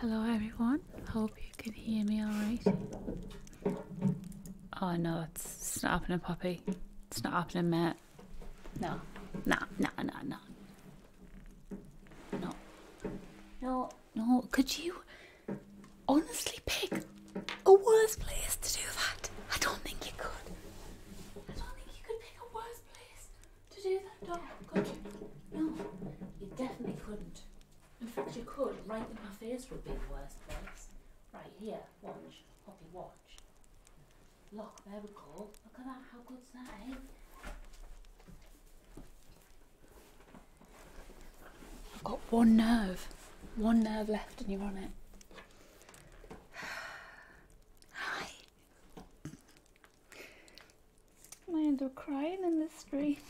Hello everyone, how hope you can hear me alright. Oh no, it's, it's not happening, Poppy. It's not happening, mate. No. Nah, nah, nah, nah. No. No, no. Could you honestly pick a worse place to do that? I don't think you could. I don't think you could pick a worse place to do that, dog. Could you? No, you definitely couldn't. In fact, you could. Right in my face would be the worst place. Right here, watch. Poppy, watch. Look, there we go. Look at that. How good's that, eh? I've got one nerve. One nerve left and you're on it. Hi. I end up crying in the street.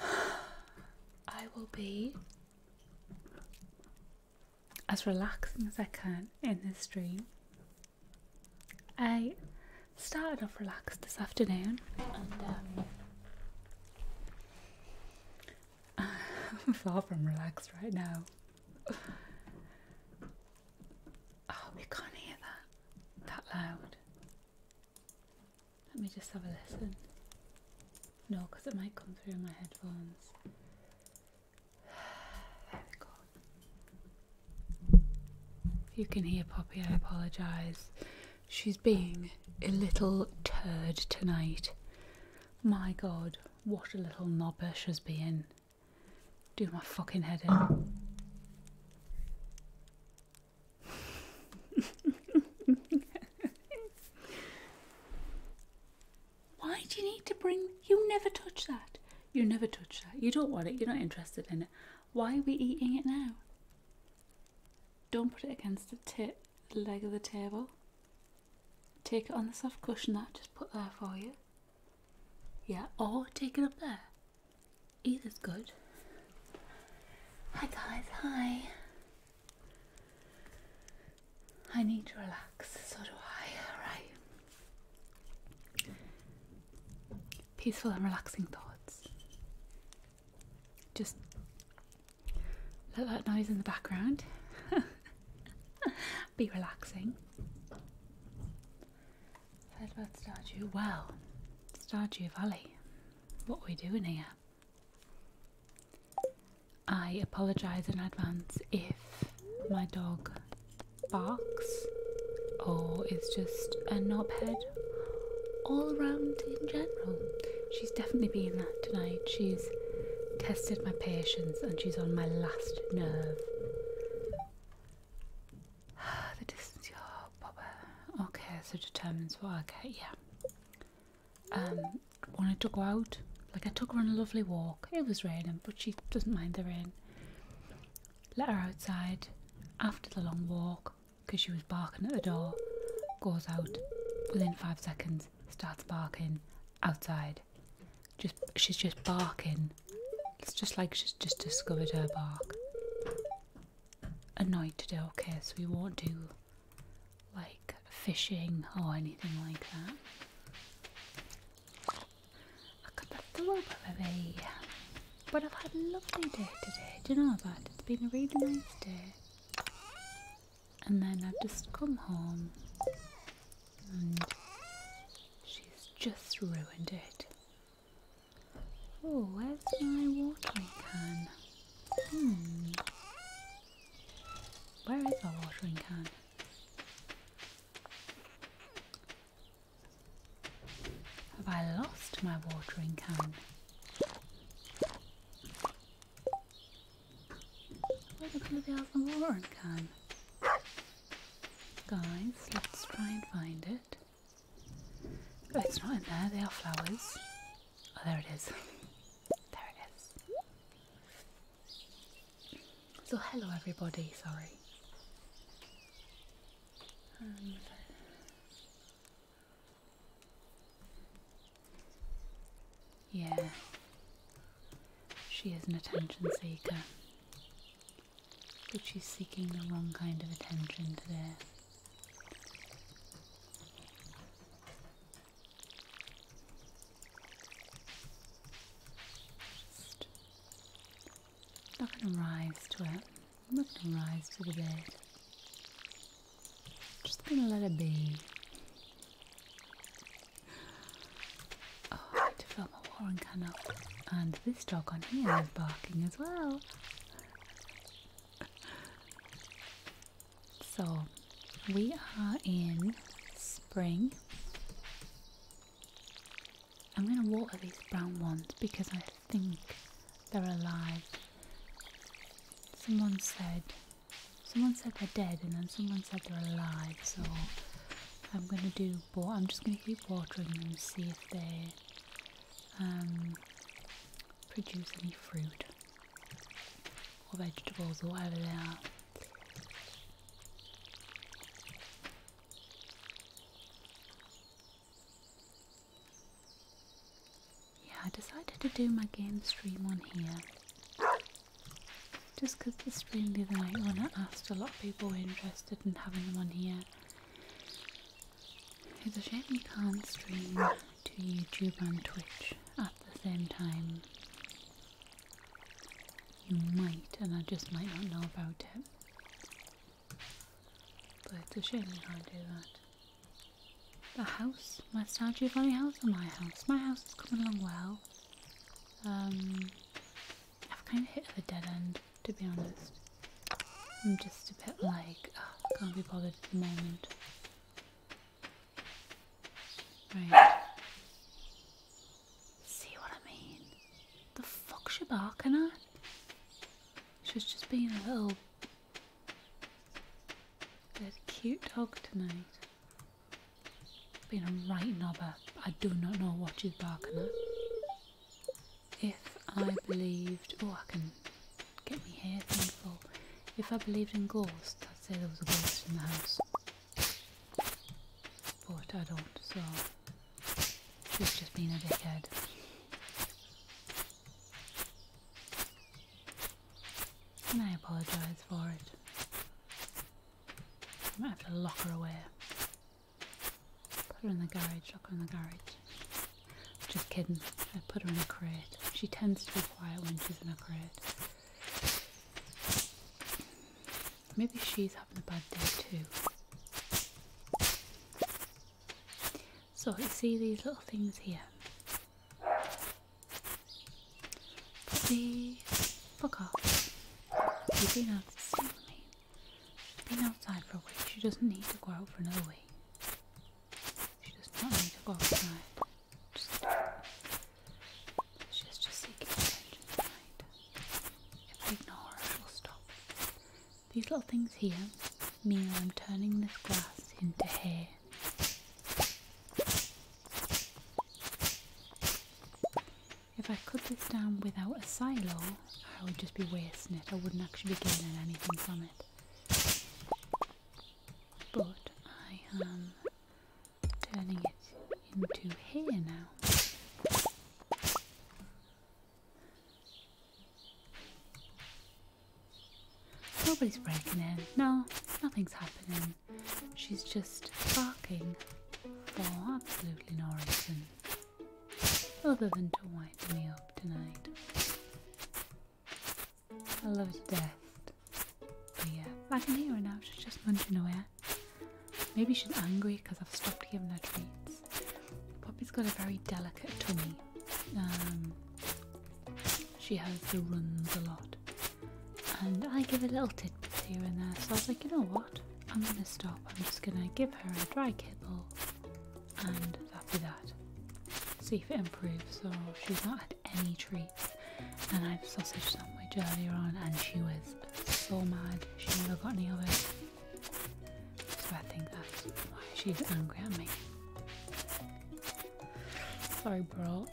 I will be as relaxing as I can in this dream. I started off relaxed this afternoon and um, I'm far from relaxed right now. I hope you can't hear that that loud. Let me just have a listen. No, because it might come through my headphones. There we go. you can hear Poppy, I apologise. She's being a little turd tonight. My god, what a little knobber she's being. Do my fucking head in. Why do you need to bring? You never touch that. You never touch that. You don't want it. You're not interested in it. Why are we eating it now? Don't put it against the leg of the table. Take it on the soft cushion that I just put there for you. Yeah, or take it up there. It is good. Hi guys, hi. I need to relax, so do I, right? Peaceful and relaxing thoughts. Just let that noise in the background be relaxing. Fed Fedworth statue. Well, Statue Valley. What are we doing here? I apologise in advance if my dog barks or is just a knobhead all around in general. She's definitely being that tonight. She's tested my patience and she's on my last nerve. the distance your popper. Okay, so determines what I get, yeah. Um, when I took out, like I took her on a lovely walk. It was raining, but she doesn't mind the rain. Let her outside after the long walk because she was barking at the door. Goes out within five seconds, starts barking outside. Just she's just barking. It's just like she's just discovered her bark annoyed today, okay? So we won't do like fishing or anything like that. I could the rope baby. But I've had a lovely day today. Do you know that? It's been a really nice day. And then I've just come home and she's just ruined it. Oh, where's my watering can? Hmm. Where is my watering can? Have I lost my watering can? Where the bloody hell's my watering can? Guys, let's try and find it it's not in there. They are flowers. Oh, there it is. there it is. So, hello, everybody. Sorry. yeah. She is an attention seeker. But she's seeking the wrong kind of attention today. I'm not going to rise to it. I'm not going to rise to the bed. I'm just going to let it be. Oh, I had to fill my watering can And this dog on here is barking as well so we are in spring. I'm going to water these brown ones because I think they're alive. Someone said, someone said they're dead and then someone said they're alive. So I'm going to do, but I'm just going to keep watering them and see if they um, produce any fruit or vegetables or whatever they are. Yeah, I decided to do my game stream on here. Just because the stream the other night when I asked a lot of people were interested in having them on here. It's a shame you can't stream to YouTube and Twitch at the same time. You might, and I just might not know about it. But it's a shame you can't do that. The house, my Star Giovanni house and my house. My house is coming along well. Um, I've kind of hit a dead end, to be honest. I'm just a bit like, oh, can't be bothered at the moment. Right. See what I mean? The fuck's she barking at? She's just being a little bit cute dog tonight. Being a right knobber. I do not know what she's barking at if I believed. Oh, I can get me here thing If I believed in ghosts, I'd say there was a ghost in the house. But I don't, so she's just been a dickhead. And I apologise for it. I might have to lock her away. Put her in the garage, lock her in the garage. Just kidding. I put her in a crate. She tends to be quiet when she's in a crate. Maybe she's having a bad day too. So you see these little things here. Puppy, fuck off. You've been out. See what She's been outside for a week. She doesn't need to go out for another week. She does not need to go outside. she's just seeking attention tonight. If I ignore her, I will stop. These little things here mean I'm turning this glass into hair. If I cut this down without a silo, I would just be wasting it. I wouldn't actually be getting anything from it. But I am turning it into here now. Nobody's breaking in. No, nothing's happening. She's just barking for absolutely no Other than to wind me up tonight. I love her to death. But yeah, I can hear her now, she's just munching away. Maybe she's angry because I've stopped giving her treats. Poppy's got a very delicate tummy. Um, she has to run a lot. And I give a little tidbits here and there, so I was like, you know what? I'm gonna stop. I'm just gonna give her a dry kibble and that'd that. See if it improves. So she's not had any treats, and I had sausage sandwich earlier on, and she was so mad she never got any of it. So I think that's why she's angry at me. Sorry, bro.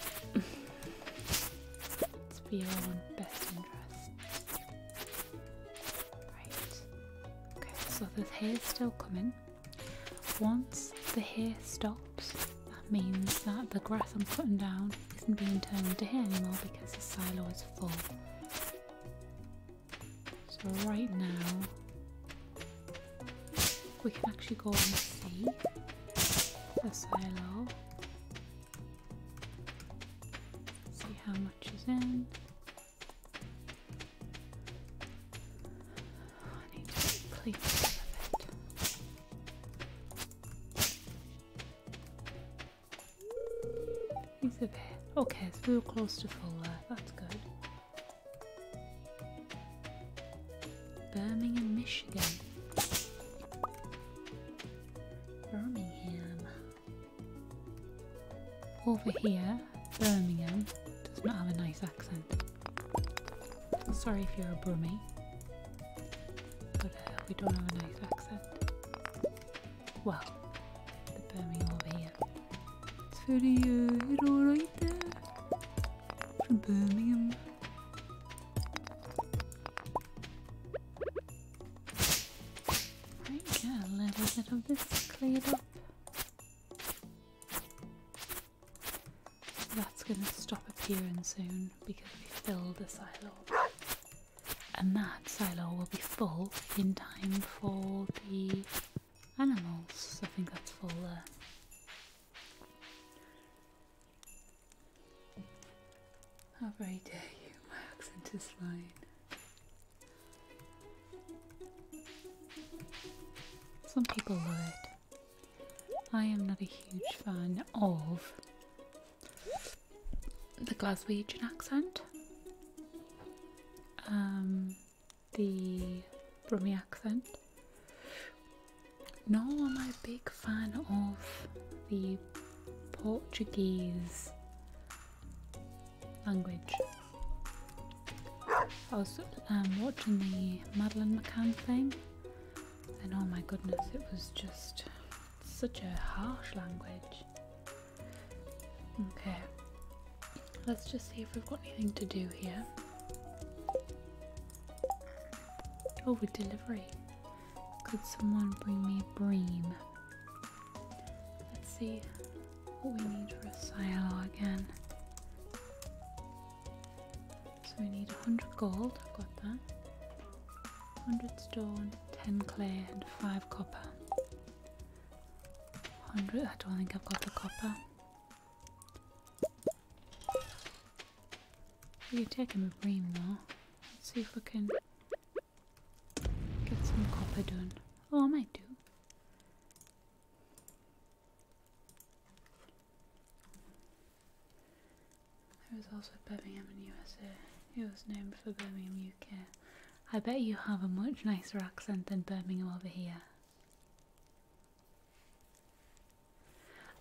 it's for your own best interest. Right. Okay, so the hair's still coming. Once the hair stops, that means that the grass I'm putting down isn't being turned into hair anymore because the silo is full. So right now we can actually go and see the silo. See how much is in. He's a bit. Okay, It's real close to full there. Uh, that's good. Birmingham, Michigan. Birmingham. Over here. Birmingham does not have a nice accent. Sorry if you're a Brummie, but uh, we don't have a nice accent. Well, the Birmingham over here. It's very, uh, it alright there. From Birmingham. Right, yeah, a little bit of this cleared up. That's going to stop appearing soon because we filled the silo. And that silo will be full in time for the animals. I think that's full there. How very dare you, my accent is fine. Some people love it. I am not a huge fan of the Glaswegian accent, um, the Brummie accent. Nor am I a big fan of the Portuguese language. I was um, watching the Madeline McCann thing, and oh my goodness, it was just such a harsh language. Okay, let's just see if we've got anything to do here. Oh, with delivery. Could someone bring me a bream? Let's see what we need for a silo again. So we need 100 gold, I've got that. 100 stone, 10 clay, and 5 copper. 100, I don't think I've got the copper. We take him a bream though. Let's see if we can get some copper done. Oh, I might do was also Birmingham in USA. It was named for Birmingham, UK. I bet you have a much nicer accent than Birmingham over here.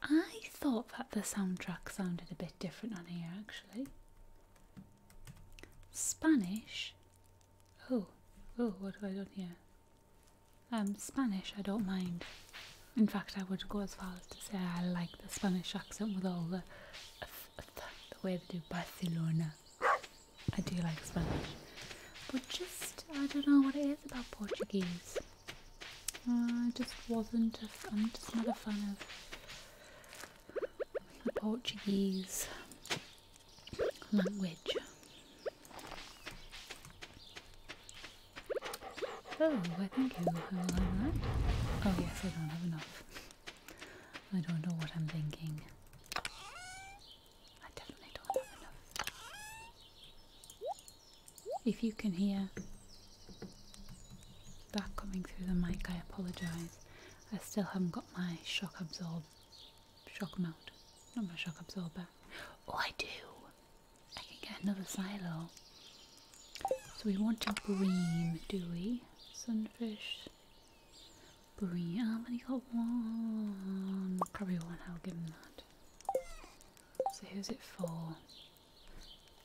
I thought that the soundtrack sounded a bit different on here actually. Spanish? Oh, oh, what have I done here? Um, Spanish, I don't mind. In fact, I would go as far as to say I like the Spanish accent with all the the way they do Barcelona. I do like Spanish, but just I don't know what it is about Portuguese. I just wasn't. A, I'm just not a fan of the Portuguese language. Oh, I think I will have a that. Oh yes, I don't have enough. I don't know what I'm thinking. I definitely don't have enough. If you can hear that coming through the mic, I apologise. I still haven't got my shock absorb, shock mount, not my shock absorber. Oh, I do. I can get another silo. So we want a bream, do we? Sunfish. Bream. Oh, I've only got one. Probably one, I'll give him that. So who's it for?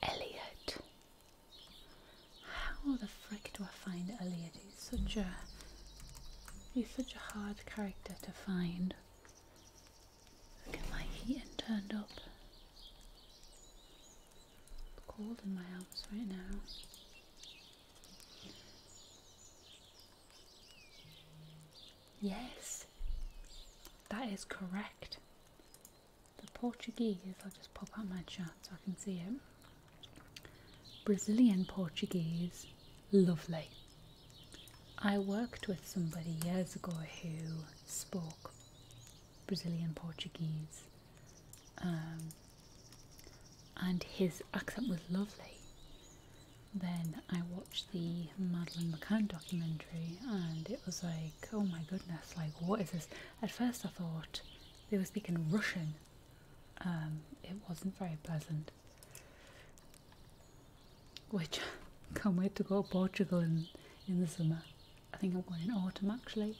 Elliot. How the frick do I find Elliot? He's such a... He's such a hard character to find. I get my heating turned up. cold in my house right now. Yes, that is correct. The Portuguese, I'll just pop out my chat so I can see it. Brazilian Portuguese, lovely. I worked with somebody years ago who spoke Brazilian Portuguese, um, and his accent was lovely. Then I watched the Madeline McCann documentary, and it was like, oh my goodness, like what is this? At first, I thought they were speaking Russian. Um, it wasn't very pleasant. Which can't wait to go to Portugal in, in the summer. I think I'm going in autumn actually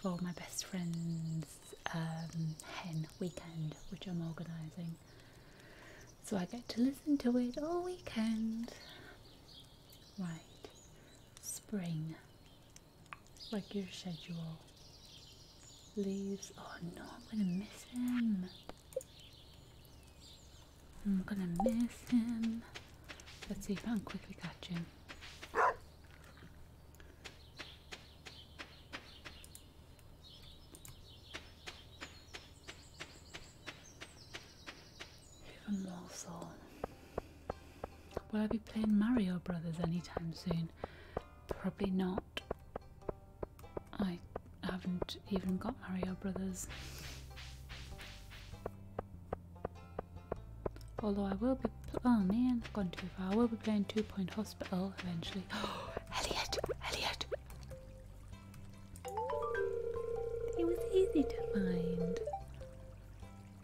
for my best friend's um, hen weekend, which I'm organising. So I get to listen to it all weekend. Right, spring, like your schedule. Leaves. Oh no, I'm gonna miss him. I'm gonna miss him. Let's see if I can quickly catch him. Even more so. Will I be playing Mario Brothers anytime soon? Probably not. I haven't even got Mario Brothers. Although I will be, oh man, I've gone too far. I will be playing Two Point Hospital eventually. Elliot, Elliot. It was easy to find.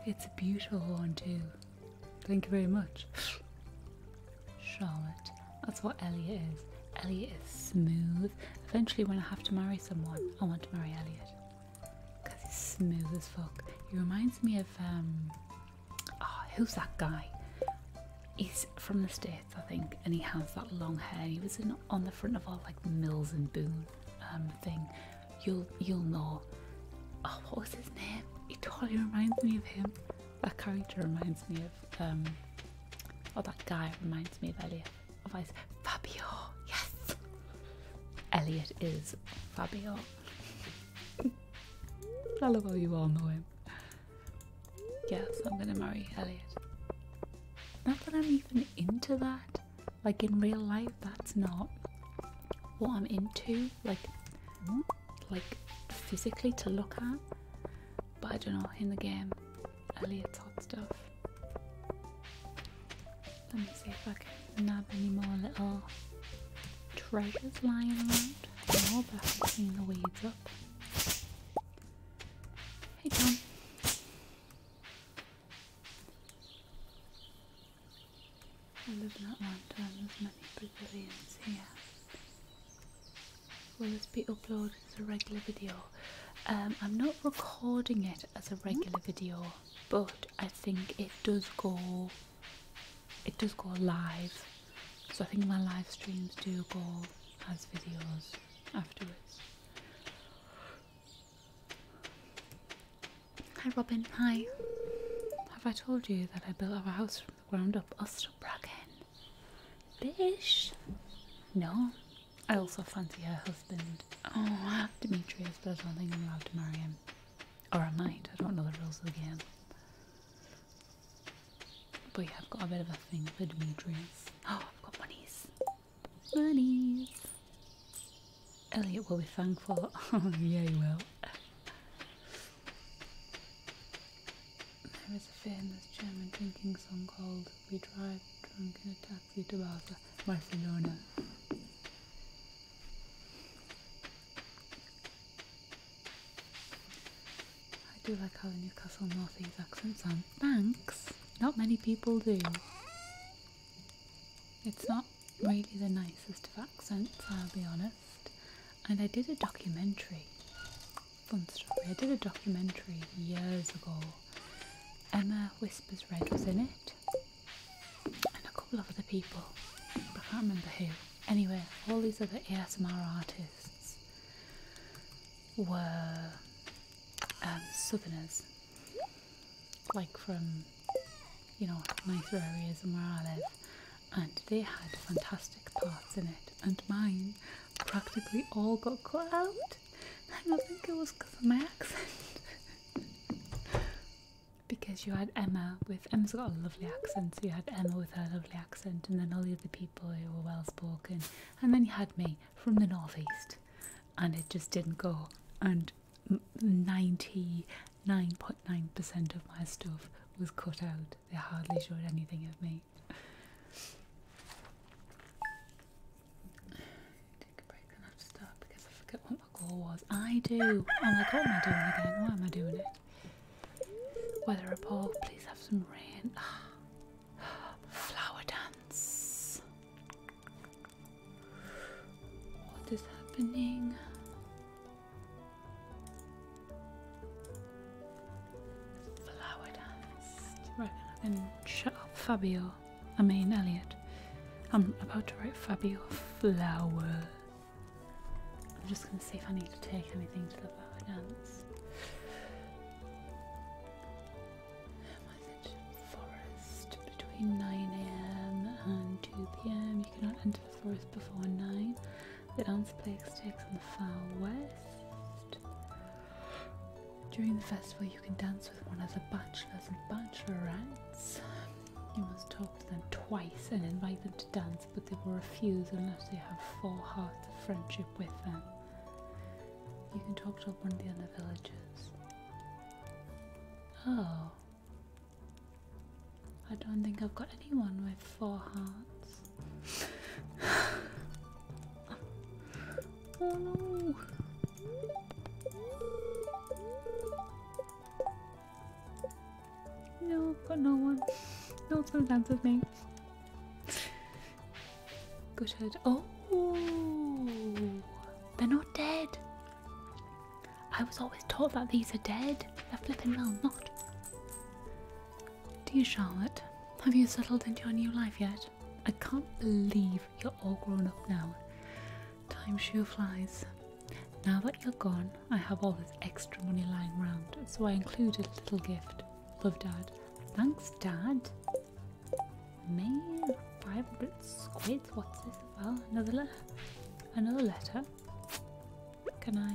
It's a beautiful one too. Thank you very much, Charlotte. That's what Elliot is. Elliot is smooth. Eventually, when I have to marry someone, I want to marry Elliot because he's smooth as fuck. He reminds me of um, oh, who's that guy? He's from the states, I think, and he has that long hair. He was in, on the front of our like Mills and Boone um, thing. You'll you'll know. Oh, what was his name? He totally reminds me of him. That character reminds me of um, or oh, that guy reminds me of Elliot of ice. Fabio, yes. Elliot is Fabio. I love how you all know him. Yes, I'm gonna marry Elliot. Not that I'm even into that. Like in real life, that's not what I'm into. Like, like physically to look at. But I don't know in the game, Elliot's hot stuff. Let me see if I can nab any more little treasures lying around. More back to clean the weeds up. Hey Tom. I love that lantern, there's many pavilions here will this be uploaded as a regular video? Um, I'm not recording it as a regular video, but I think it does go. It does go live, so I think my live streams do go as videos afterwards. Hi Robin, hi. Have I told you that I built our house from the ground up? I'll Bish! No, I also fancy her husband. Oh, Demetrius, but I don't I'm allowed to marry him. Or I might, I don't know the rules of the game. But yeah, I've got a bit of a thing for Demetrius. Oh, I've got monies. Monies! Elliot will be thankful. oh, yeah, he will. There is a famous German drinking song called We Drive Drunk in a Vitor Barcelona. I do like how the Newcastle North East accent sounds. Thanks! Not many people do. It's not really the nicest of accents, I'll be honest. And I did a documentary. Fun story. I did a documentary years ago Emma Whispers Red was in it, and a couple of other people, but I can't remember who. Anyway, all these other ASMR artists were um, souvenirs, like from you know nicer areas than where I live, and they had fantastic parts in it, and mine practically all got cut out. I don't think it was because of my accent. because you had Emma with Emma's got a lovely accent, so you had Emma with her lovely accent, and then all the other people who were well spoken, and then you had me from the northeast, and it just didn't go. And ninety nine point nine percent of my stuff was cut out. They hardly showed anything of me. Take a break and I've stopped because I forget what my goal was. I do! I'm like, what am I doing again? Why am I doing it? Weather report, please have some rain. Flower dance. What is happening? Flower dance. Right, I shut up Fabio. I mean Elliot. I'm about to write Fabio Flower. I'm just going to see if I need to take anything to the flower dance. Forest between 9am and 2pm. You cannot enter the forest before 9. The dance plague takes on the far west. During the festival, you can dance with one of the bachelors and bachelorettes. You must talk to them twice and invite them to dance, but they will refuse unless they have four hearts of friendship with them. You can talk to one of the other villagers. Oh. I don't think I've got anyone with four hearts. Oh no! No, got no one. No one's gonna dance with me. Good head. Oh! They're not dead! I was always taught that these are dead. They're flipping well not. Dear Charlotte, have you settled into your new life yet? I can't believe you're all grown up now. Time sure flies. Now that you're gone, I have all this extra money lying around, so I included a little gift. Love, Dad. Thanks, Dad. Man, 500 squids. What's this Well, Another letter? Another letter? Can I?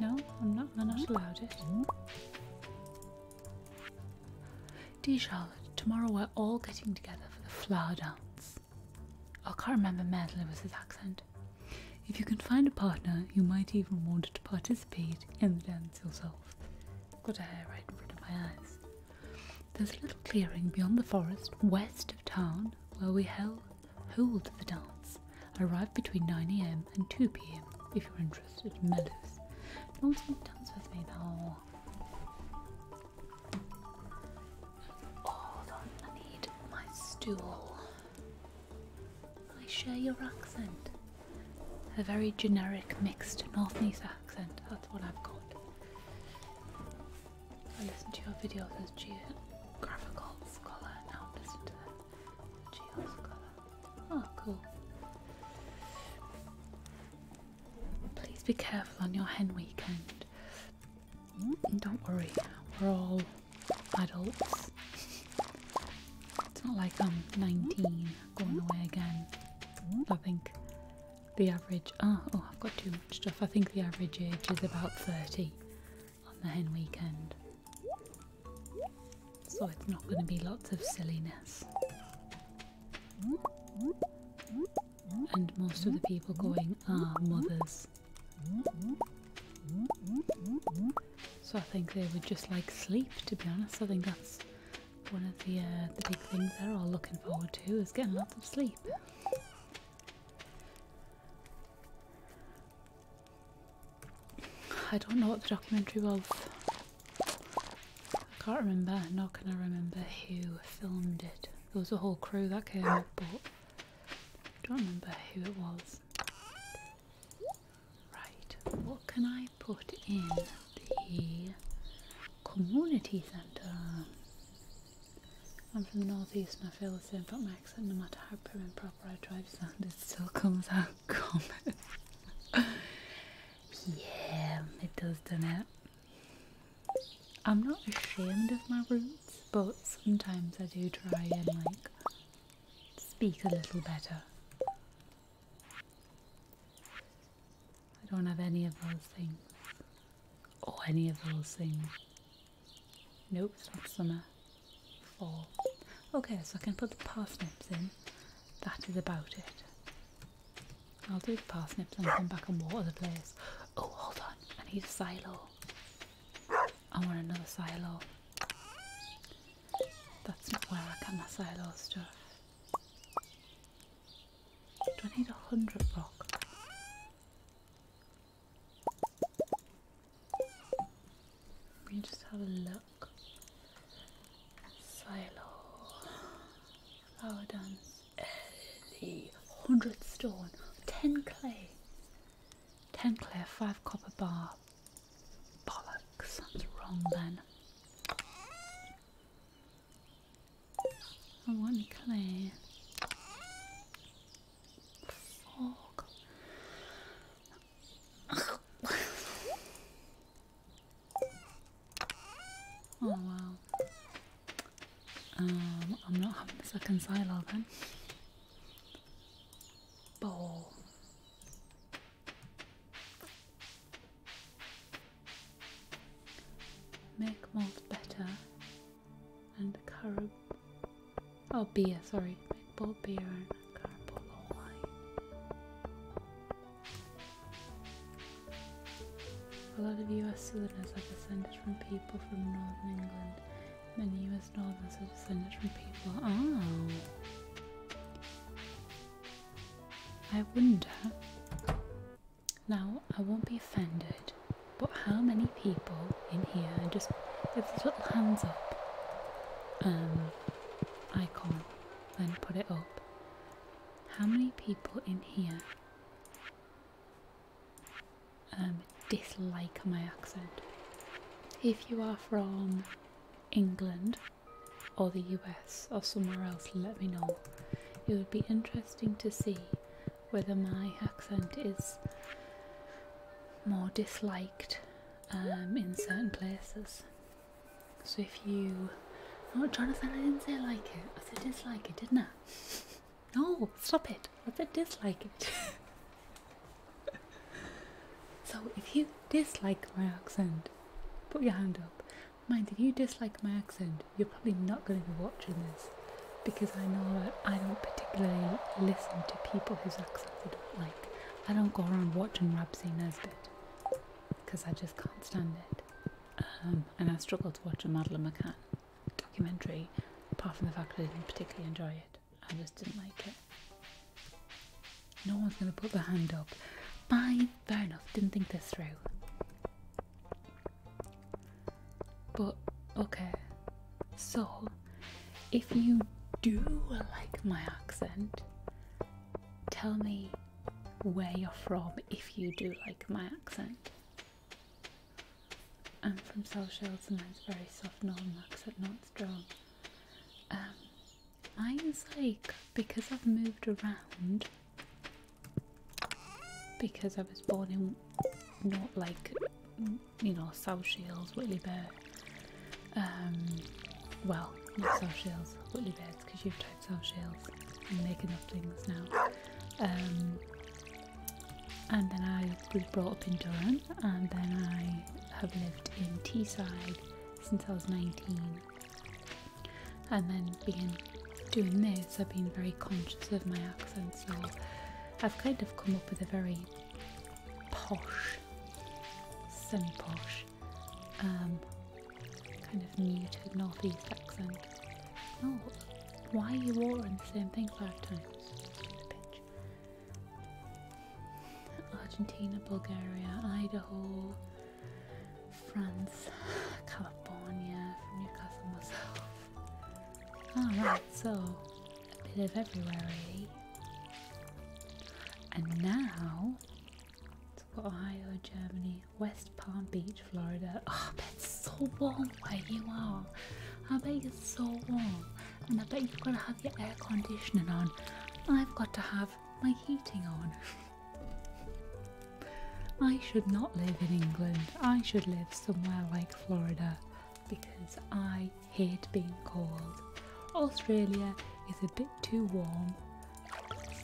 No, I'm not. I'm not allowed it. Hmm? Dear Charlotte, tomorrow we're all getting together for the flower dance. Oh, I can't remember Madeline with his accent. If you can find a partner, you might even want to participate in the dance yourself. Got a hair right in front of my eyes. There's a little clearing beyond the forest, west of town, where we held hold the dance. Arrive between 9am and 2pm if you're interested in mellows. No one's to dance with me now. I need my stool. I share your accent. A very generic mixed North and accent, that's what I've got. I listen to your videos as geographical scholar, now I listen to the Oh, cool. Please be careful on your hen weekend. Mm, don't worry, we're all adults. It's not like I'm 19 going away again. I think the average. Ah, oh, I've got too much stuff. I think the average age is about 30 on the hen weekend. So it's not going to be lots of silliness. And most of the people going are mothers. So I think they would just like sleep, to be honest. I think that's one of the, uh, the big things they're all looking forward to is getting lots of sleep. I don't know what the documentary was I can't remember, Not gonna remember who filmed it. There was a whole crew that came but I don't remember who it was. Right, what can I put in the community centre? I'm from the northeast and I feel the same about my accent. No matter how prim and proper I try to sound, it still comes out common. yeah, it does, doesn't I'm not ashamed of my roots, but sometimes I do try and like speak a little better. I don't have any of those things. Or oh, any of those things. Nope, it's not summer. Fall. Okay, so I can put the parsnips in. That is about it. I'll do the parsnips and come back and water the place. Oh, hold on. I need a silo. I want another silo. That's not where I can my silo stuff. Do I need a hundred rock? Let me just have a look. Silo. Flower dance early. 100 stone, 10 clay, 10 clay, 5 copper bar. Bollocks, that's wrong then. I oh, want clay. Fuck. Oh wow. Um, I'm not having a second silo then. Bowl. Make malt better and carob. Oh, beer, sorry. Make bold beer and carob wine. A lot of US citizens are descended from people from northern England. Many US northerners are descended from people. Oh! I wonder. Now, I won't be offended, but how many people in here just give this little hands up um, icon, then put it up? How many people in here um, dislike my accent. If you are from England or the US or somewhere else, let me know. It would be interesting to see whether my accent is more disliked um, in certain places. So if you, oh Jonathan, I didn't say I like it. I said dislike it, didn't I? No, stop it. I said dislike it? so if you dislike my accent, put your hand up. Mind if you dislike my accent, you're probably not going to be watching this because I know that I don't particularly listen to people whose accents I don't like. I don't go around watching Rab Singh because I just can't stand it. Um, and I struggled to watch a Madeline McCann documentary, apart from the fact that I didn't particularly enjoy it. I just didn't like it. No one's going to put their hand up. Fine, fair enough, didn't think this through. But, okay. So, if you do like my accent, tell me where you're from if you do like my accent. I'm from South Shields, and that's very soft northern lux but not strong um mine's like because i've moved around because i was born in not like you know south shields whitley bear um, well not south shields whitley bears because you've sell shells and making up things now. Um, and then I was brought up in Durham, and then I have lived in Teesside since I was 19. And then being doing this, I've been very conscious of my accent, so I've kind of come up with a very posh, semi posh, um, kind of muted northeast accent. Oh, why are you ordering the same thing five times? Argentina, Bulgaria, Idaho, France, California, from Newcastle Alright, so a bit of everywhere And now, let's go Ohio, Germany, West Palm Beach, Florida. Oh, I bet it's so warm where you are. I bet you're so warm, and I bet you've got to have your air conditioning on. I've got to have my heating on. I should not live in England. I should live somewhere like Florida because I hate being cold. Australia is a bit too warm,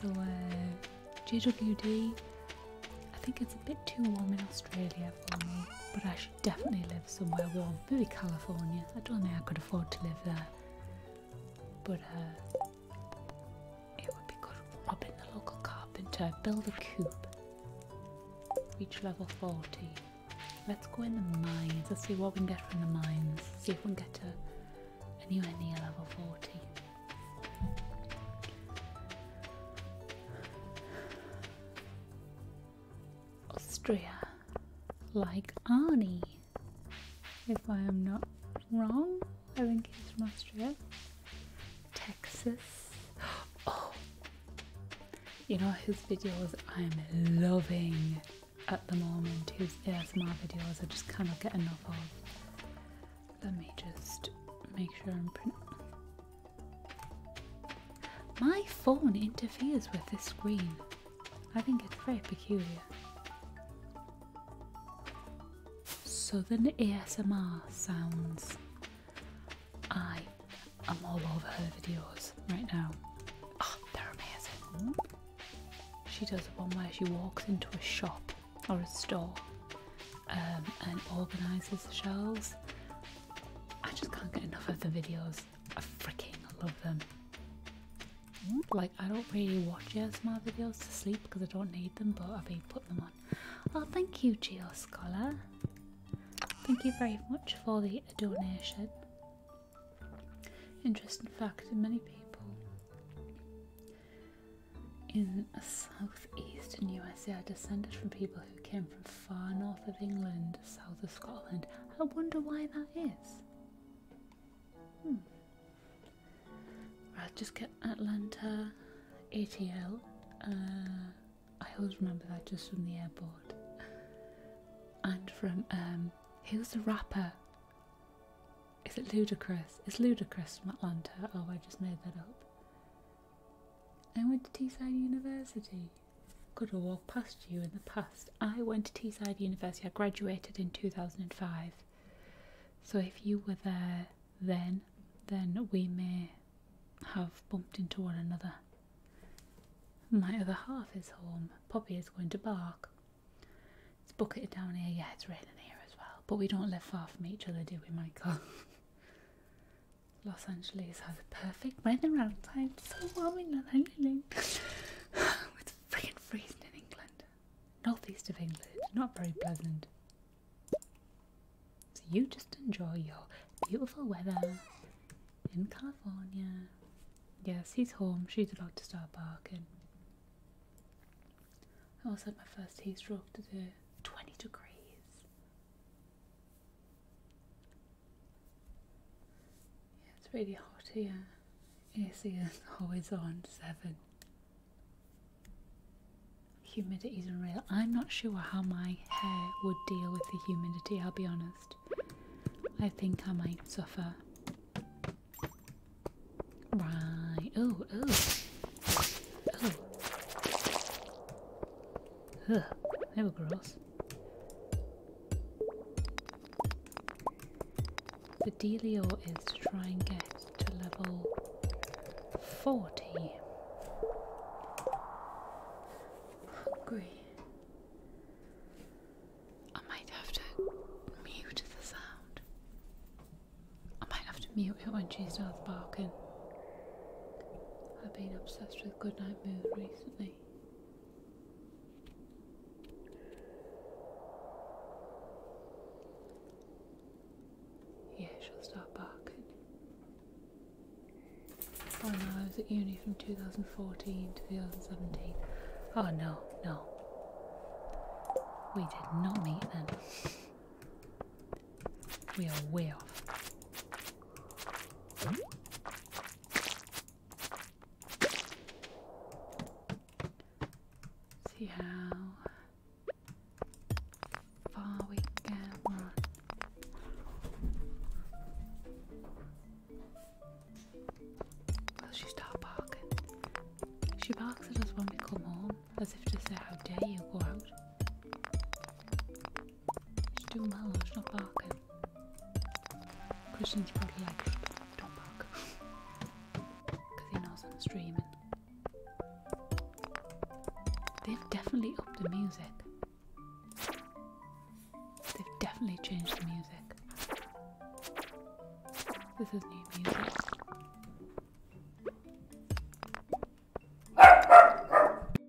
so uh, JWD, I think it's a bit too warm in Australia for me, but I should definitely live somewhere warm. Maybe California. I don't think I could afford to live there, but uh, it would be good. Rob in the local carpenter, build a coop, reach level 40. Let's go in the mines. Let's see what we can get from the mines. See if we can get new anywhere near level 40. Austria, like Arnie, if I am not wrong. I think he's from Austria. Texas. Oh, you know his videos I'm loving at the moment. His ASMR videos I just cannot get enough of. Let me just make sure I'm print. My phone interferes with this screen. I think it's very peculiar. Southern ASMR sounds. I am all over her videos right now. Ah, they're amazing. She does one where she walks into a shop or a store um, and organises the shelves. I just can't get enough of the videos. I freaking love them. Like, I don't really watch ASMR videos to sleep because I don't need them, but I've been putting them on. Oh, thank you, Geo Scholar. Thank you very much for the donation. Interesting fact in many people in southeastern USA are descended from people who came from far north of England, south of Scotland. I wonder why that is. is. Hmm. Right, just get Atlanta ATL. Uh, I always remember that just from the airport. And from, um, who's the rapper? Is it Ludacris? It's Ludacris from Atlanta. Oh, I just made that up. I went to Teesside University. Could have walked past you in the past. I went to Teesside University. I graduated in 2005. So if you were there then, then we may have bumped into one another. My other half is home. Poppy is going to bark. It's bucketed down here. Yeah, it's raining here as well. But we don't live far from each other, do we, Michael? Los Angeles has perfect weather-round time. So warm in Los Angeles. it's freaking freezing in England. Northeast of England. Not very pleasant. So you just enjoy your beautiful weather in California. Yes, he's home. She's about to start barking. I also had my first heat stroke today. 20 degrees it's really hot here. AC is always on seven. Humidity is real. I'm not sure how my hair would deal with the humidity, I'll be honest. I think I might suffer. Right. Oh, oh. Oh. Ugh, they were gross. The Delio is to try and get to level 40. Hungry. I might have to mute the sound. I might have to mute it when she starts barking. I've been obsessed with Goodnight Moon recently. Yeah, she'll start barking. Oh no, I was at uni from 2014 to 2017. Oh no, no. We did not meet then. We are way off. See how far we can run. Will she start barking? She barks at us when we come home, as if to say, How dare you go out? She's doing well, she's not barking. Christian's probably like, don't bark. Because he knows I'm streaming. They've definitely upped the music. They've definitely changed the music. This is new music.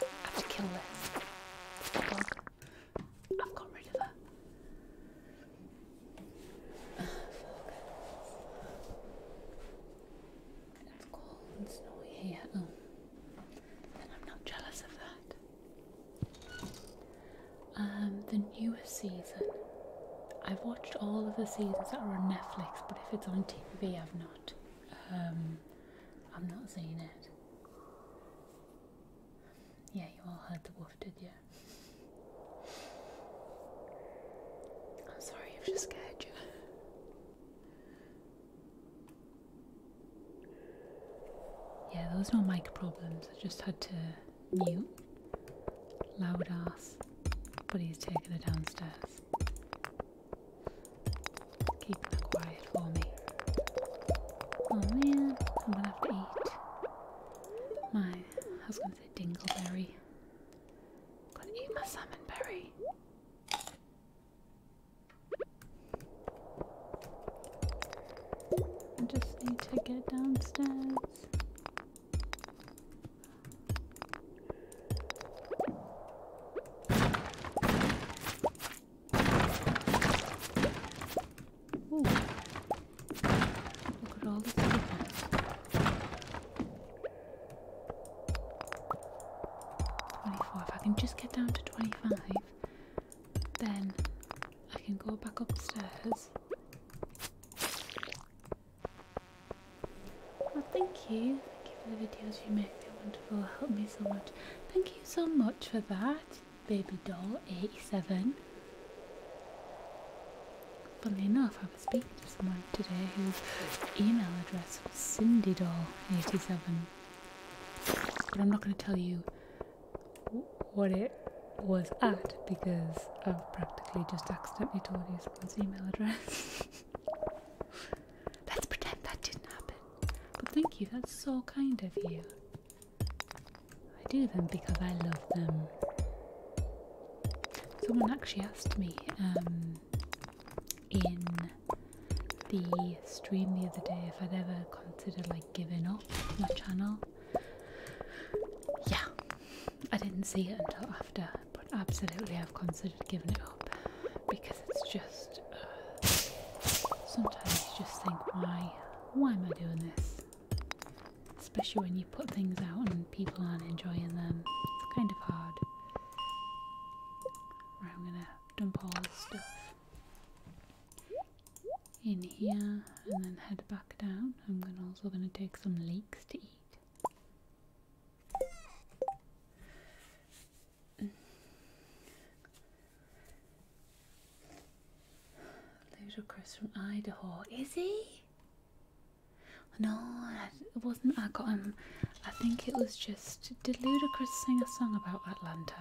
I have to kill this. Dog. I've got rid of her. Oh, cold and snowy here. And um, I'm not jealous of that. Um, the newer season I've watched all of the seasons that are on Netflix, but if it's on TV, I've not. Um, I've not seen it. Yeah, you all heard the wolf, did you? I'm sorry if she scared you. Yeah, there was no mic problems. I just had to mute. Loud ass. But he's taking her downstairs. Keep her quiet for me. Oh man, I'm gonna have to eat. My, I was gonna say dingleberry. I'm gonna eat my salmon berry. I just need to get downstairs. Ooh. Look at all If I can just get down to twenty-five, then I can go back upstairs well, thank you. Thank you for the videos you make. They're wonderful. Help me so much. Thank you so much for that, baby doll 87. Funny enough, I was speaking to someone today whose email address was Cindy doll 87 But I'm not going to tell you what it was at because I've practically just accidentally told you, someone's email address. Let's pretend that didn't happen. But thank you, that's so kind of you. I do them because I love them. Someone actually asked me um, in the stream the other day if I'd ever considered like giving up my channel. Yeah, I didn't see it until after, but absolutely I've considered giving it up because it's just uh, sometimes you just think why why am I doing this? Especially when you put things out and people aren't enjoying them. It's kind of hard. I'm gonna dump all this stuff in here and then head back down. I'm also gonna take some leeks to eat. Ludacris from Idaho. Is he? No, it wasn't. I got him. I think it was just. Did Ludacris sing a song about Atlanta?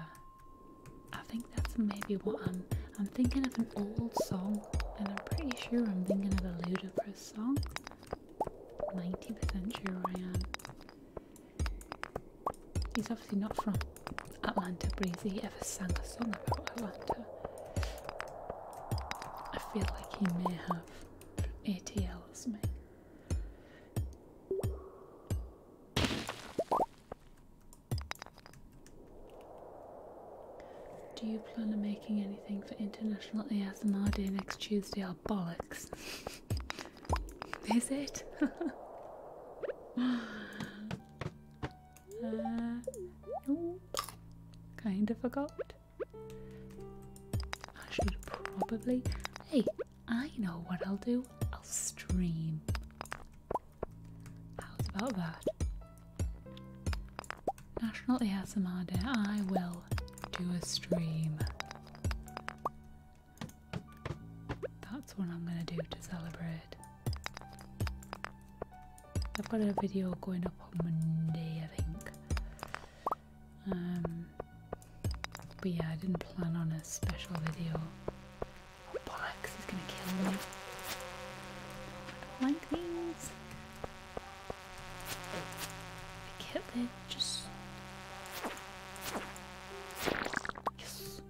I think that's maybe what I'm. I'm thinking of an old song, and I'm pretty sure I'm thinking of a Ludacris song. 90% sure I am. He's obviously not from Atlanta, but has he ever sang a song about Atlanta? I feel like he may have ATL or something. Do you plan on making anything for International ASMR Day next Tuesday or bollocks? Is it? Uh, kind of forgot. I should probably. Hey, I know what I'll do. I'll stream. How's about that? National ASMR Day. I will do a stream. That's what I'm going to do to celebrate. I've got a video going up on Monday, I think. Um, but yeah, I didn't plan on a special video. Bollocks is going to kill me. Oh, I do can't it, just... Yes.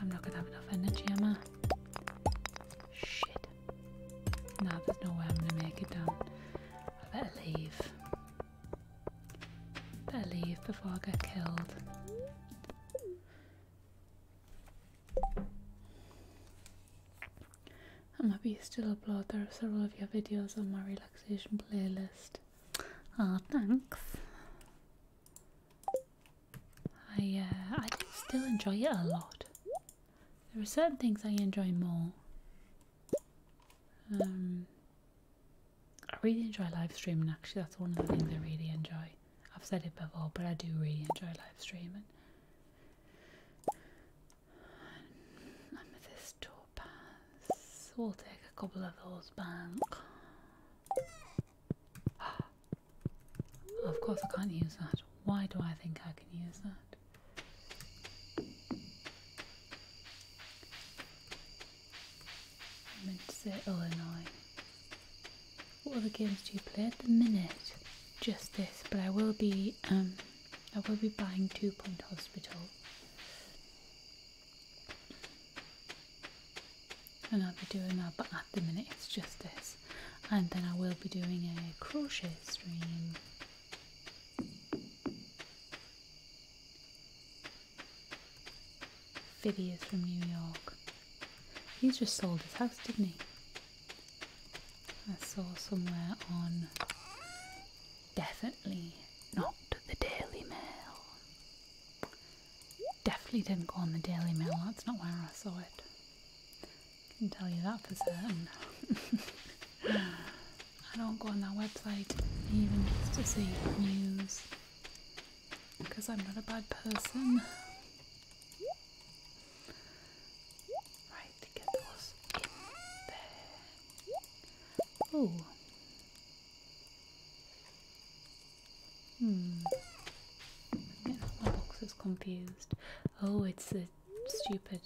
I'm not gonna have enough energy, am I? Shit. Now there's no way I'm gonna make it down. I better leave. Better leave before I get killed. I'm happy you still upload. There are several of your videos on my relaxation playlist. Ah, thanks. I uh, I still enjoy it a lot. There are certain things I enjoy more. Um, I really enjoy live streaming. Actually, that's one of the things I really enjoy. I've said it before, but I do really enjoy live streaming. And this Topaz. We'll take a couple of those bank. Of course, I can't use that. Why do I think I can use that? Let's say Illinois. What other games do you play at the minute? Just this, but I will be um I will be buying Two Point Hospital. And I'll be doing that, but at the minute it's just this. And then I will be doing a crochet stream. Phidias from New York. He's just sold his house, didn't he? I saw somewhere on definitely not the Daily Mail. Definitely didn't go on the Daily Mail, that's not where I saw it. I can tell you that for certain. I don't go on that website even just to see news because I'm not a bad person. Right, get those in there. Oh. Hmm. my box is confused. Oh, it's a stupid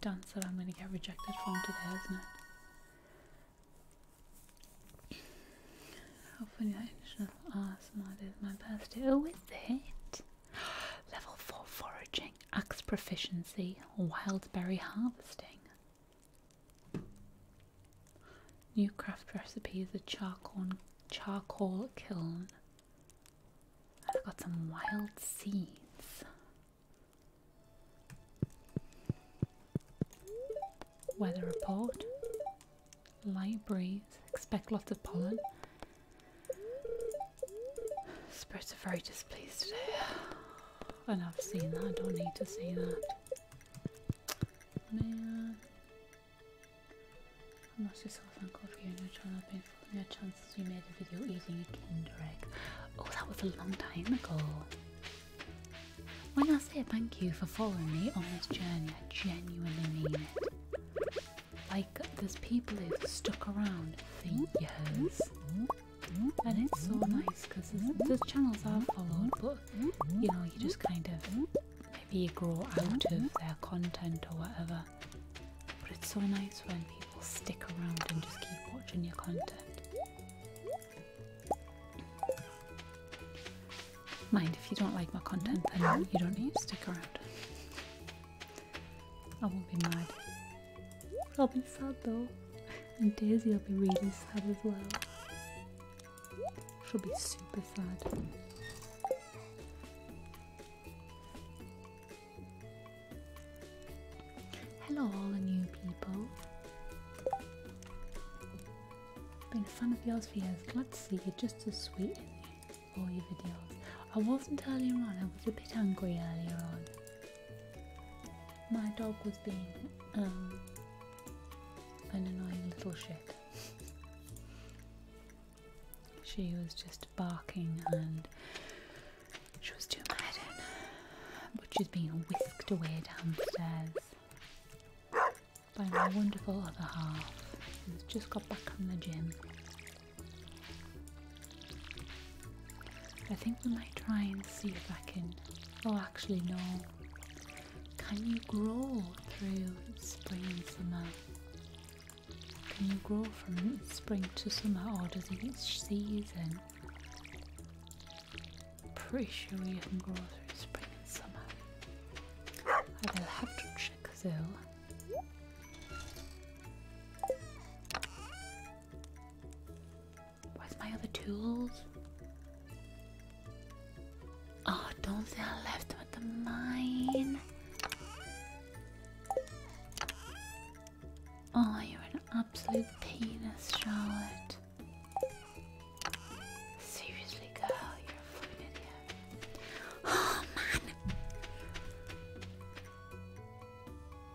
dance that I'm going to get rejected from today, isn't it? Hopefully that should ASMR did my best to. Oh, is it? Level 4 foraging, axe proficiency, wild berry harvesting. New craft recipes, a charcoal, charcoal kiln. I've got some wild seeds. Weather report. Light breeze. Expect lots of pollen. Spirits are very displeased today. And I've seen that. I don't need to see that. Man. I'm not actually so thankful for you and your channel being for your chances you made a video eating a Kinder egg. Oh, that was a long time ago. When I say thank you for following me on this journey, I genuinely mean it. Like there's people who've stuck around for years, and it's so nice because those channels are have followed, but you know you just kind of maybe you grow out of their content or whatever. But it's so nice when people stick around and just keep watching your content. Mind, if you don't like my content, then you don't need to stick around. I won't be mad. I'll be sad though. And Daisy will be really sad as well. She'll be super sad. Hello all the new people. Been a fan of yours for years. Glad to see you're just as sweet for your videos. I wasn't earlier on, I was a bit angry earlier on. My dog was being um, an annoying little shit. she was just barking and she was too mad in. But she's being whisked away downstairs by my wonderful other half. It's just back from the gym. I think we might try and see if I can. Oh, actually, no. Can you grow through spring and summer? Can you grow from spring to summer, or does each season? Pretty sure we can grow through spring and summer. I will have to check though. Where's my other tools? Oh, don't say I left with the mine. Oh, you're an absolute penis, Charlotte. Seriously, girl, you're a fucking idiot. Oh man.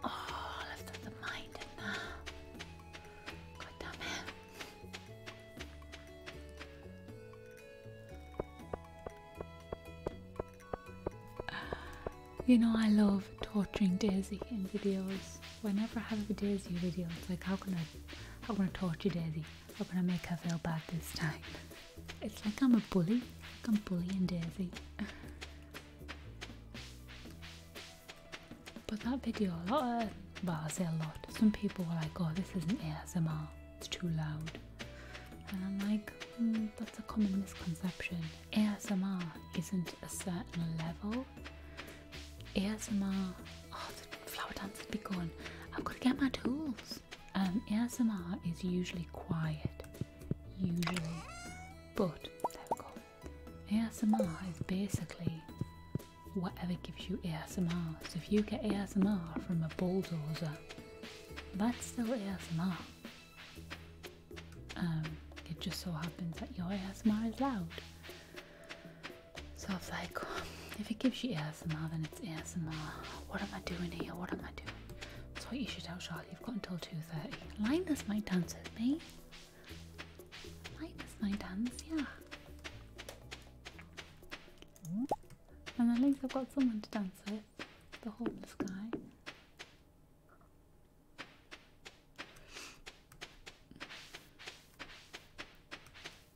Oh, I left the mind in there. God damn it. You know, I love torturing Daisy in videos. Whenever I have a Daisy video, like, how can I, how can I torture Daisy? How can I make her feel bad this time? It's like I'm a bully. Like I'm bullying Daisy. but that video, a lot of, well, I say a lot. Some people were like, "Oh, this isn't ASMR. It's too loud." And I'm like, hmm, that's a common misconception. ASMR isn't a certain level. ASMR. Oh, the flower dance has begun. I've got to get my tools. Um, ASMR is usually quiet, usually, but there we go. ASMR is basically whatever gives you ASMR. So if you get ASMR from a bulldozer, that's still ASMR. Um, it just so happens that your ASMR is loud. So it's like, if it gives you ASMR, then it's ASMR. What am I doing here? What am I doing? That's what you should tell Charlie. You've got until 2.30. Linus might dance with me. Linus might dance, yeah. And at least I've got someone to dance with. The homeless guy.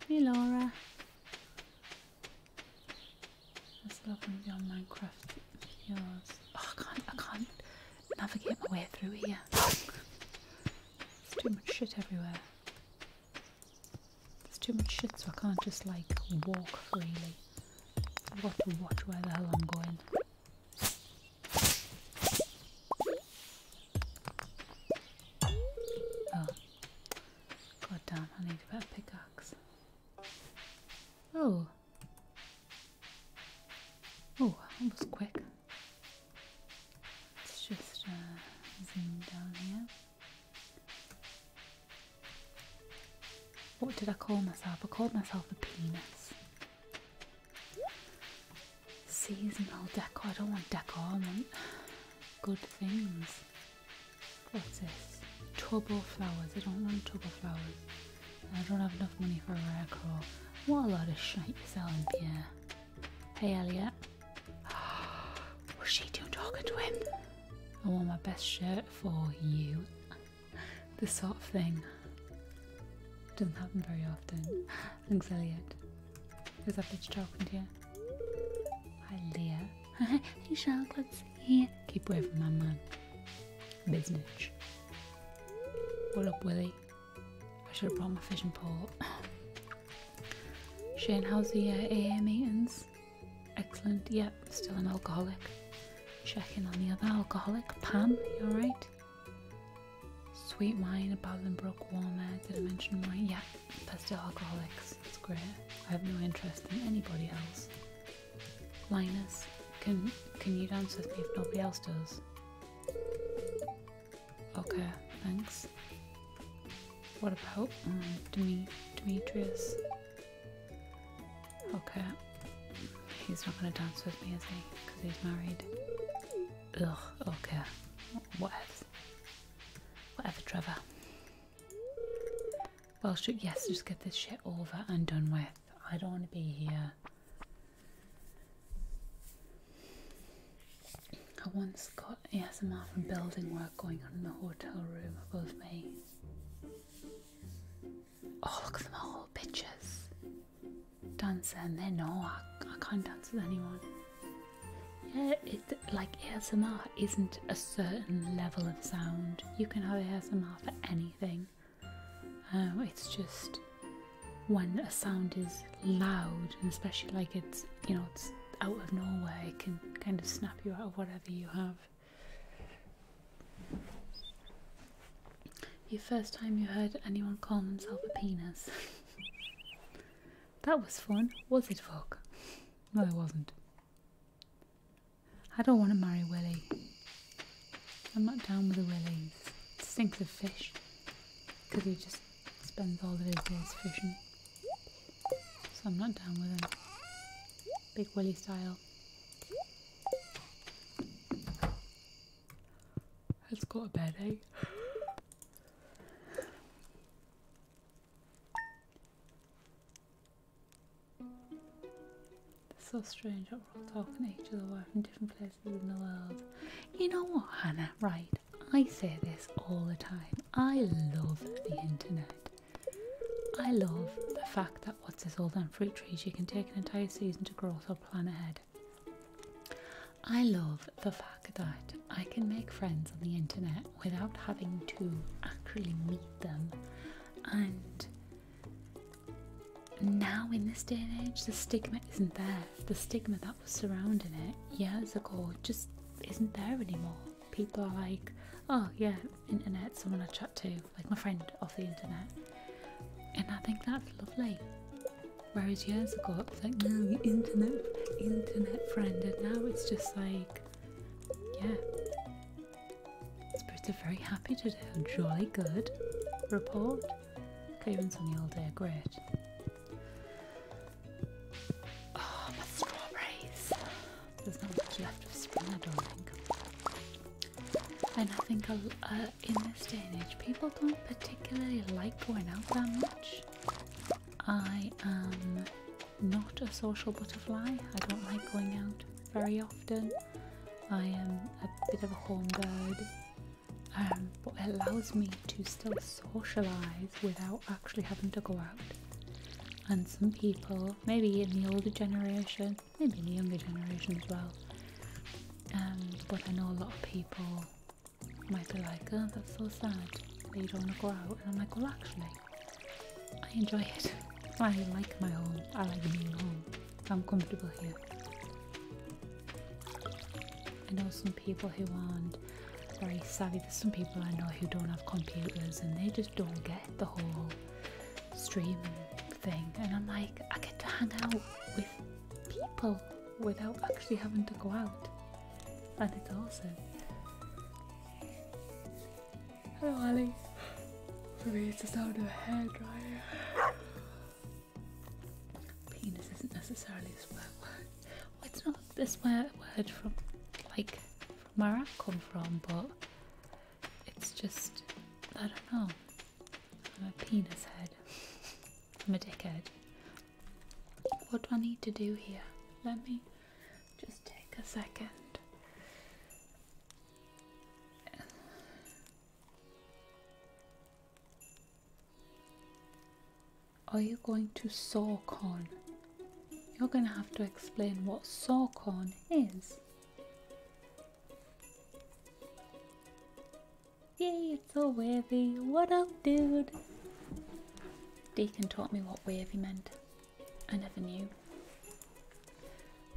Hey Laura. This lovely beyond Minecraft yours. Oh, I can't, I can't navigate my way through here. There's too much shit everywhere. There's too much shit so I can't just like walk freely. I've got to watch where the hell I'm going. Oh. God damn, I need a better pickaxe. Oh. Oh, that was quick. Let's just uh, zoom down here. What did I call myself? I called myself a penis. Seasonal decor. I don't want decor. I want good things. What's this? Turbo flowers. I don't want turbo flowers. I don't have enough money for a rare crow. What a lot of shit you're selling, Pierre. Hey, Elliot. What's she doing talking to him? I want my best shirt for you. this sort of thing doesn't happen very often. Thanks, Elliot. Is that bitch talking to you? Hi, Leah hey, chocolates. Yeah. Keep away from my mum. Business. What up, Willie? I should have brought my fishing pole. Shane, how's the uh, AA meetings? Excellent. Yep, yeah, still an alcoholic. Checking on the other alcoholic. Pam, you alright? Sweet wine, at Balinbrook, Warmer. Did I mention wine? Yeah, they're still alcoholics. It's great. I have no interest in anybody else. Linus, can can you dance with me if nobody else does? Okay, thanks. What about um, Demetrius? Okay, he's not gonna dance with me, is he? Because he's married. Ugh. Okay. Whatever. Whatever, Trevor. Well, should, yes, just get this shit over and done with. I don't want to be here. I once got ASMR from building work going on in the hotel room above me. Oh, look at them all, bitches. Dancing, they know I, I can't dance with anyone. Yeah, it, like ASMR isn't a certain level of sound. You can have ASMR for anything. Um, it's just when a sound is loud, and especially like it's you know it's out of nowhere, it can kind of snap you out of whatever you have. Your first time you heard anyone call themselves a penis. that was fun, was it, Fog? No, it wasn't. I don't want to marry Willie. I'm not down with the Willies. Stinks of fish. Because he just spends all of his days fishing. So I'm not down with him. Big Willie style. Let's go to bed, eh? It's so strange that we're all talking to each other we from different places in the world. You know what, Hannah? Right, I say this all the time. I love the internet. I love the fact that what's this all than fruit trees you can take an entire season to grow so plan ahead. I love the fact that I can make friends on the internet without having to actually meet them and now, in this day and age, the stigma isn't there. The stigma that was surrounding it years ago just isn't there anymore. People are like, oh, yeah, internet, someone I chat to, like my friend off the internet. And I think that's lovely. Whereas years ago, it was like, no, internet, internet friend, and now it's just like, yeah, Spirits are very happy today. Jolly good. Report. Cravings on the all day are great. Oh, my strawberries. There's not much left of spring, I don't think. And I think uh, in this day and age, people don't particularly like going out that much. I am not a social butterfly. I don't like going out very often. I am a bit of a home um, but it allows me to still socialise without actually having to go out. And some people, maybe in the older generation, maybe in the younger generation as well, um, but I know a lot of people might be like, oh, that's so sad They don't want to go out. And I'm like, well, actually, I enjoy it. I like my home. I like being home. I'm comfortable here. I know some people who aren't very savvy. There's some people I know who don't have computers and they just don't get the whole streaming thing. And I'm like, I get to hang out with people without actually having to go out. And it's awesome. Hello, Ali. For me, it's the sound of a hairdryer. Penis isn't necessarily a swear word. it's not this word from, like, from where I come from, but it's just, I don't know. I'm a penis head. I'm a dickhead. What do I need to do here? Let me just take a second. Are you going to SawCon? You're going to have to explain what SawCon is. Yeah, it's all wavy. What up, dude? Deacon taught me what wavy meant. I never knew.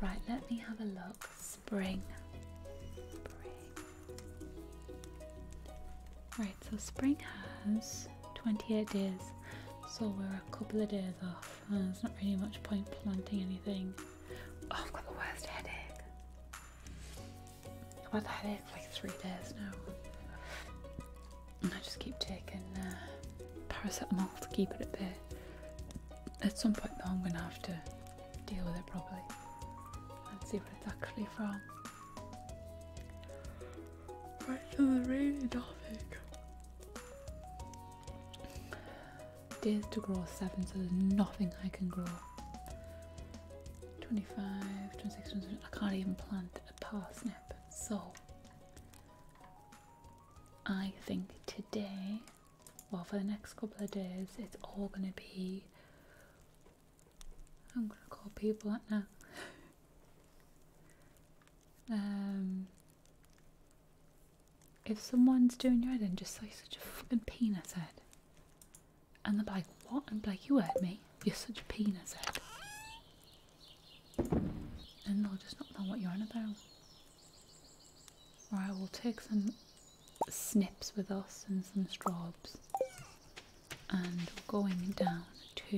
Right, let me have a look. Spring. Right, so spring has 28 days, so we're a couple of days off. Uh, there's not really much point planting anything. Oh, I've got the worst headache. I've had the headache for like three days now. And I just keep taking uh, paracetamol to keep it at bay at some point though I'm going to have to deal with it properly and see what it's actually from. Right to the rainy topic. Days to grow 7 so there's nothing I can grow. 25, 26, I can't even plant a parsnip so I think today well for the next couple of days it's all going to be I'm going to call people up now um if someone's doing your head in just say such a fucking penis head and they're like what? And be like you hurt me you're such a penis head and they'll just not know what you're on about Right, we'll take some snips with us and some straws. And going down to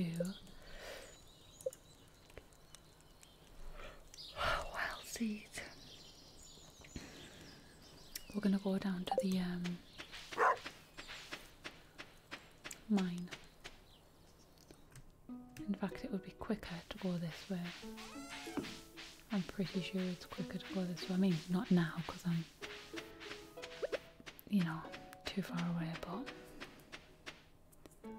wild seeds. We're gonna go down to the um, mine. In fact, it would be quicker to go this way. I'm pretty sure it's quicker to go this way. I mean, not now because I'm, you know, too far away, but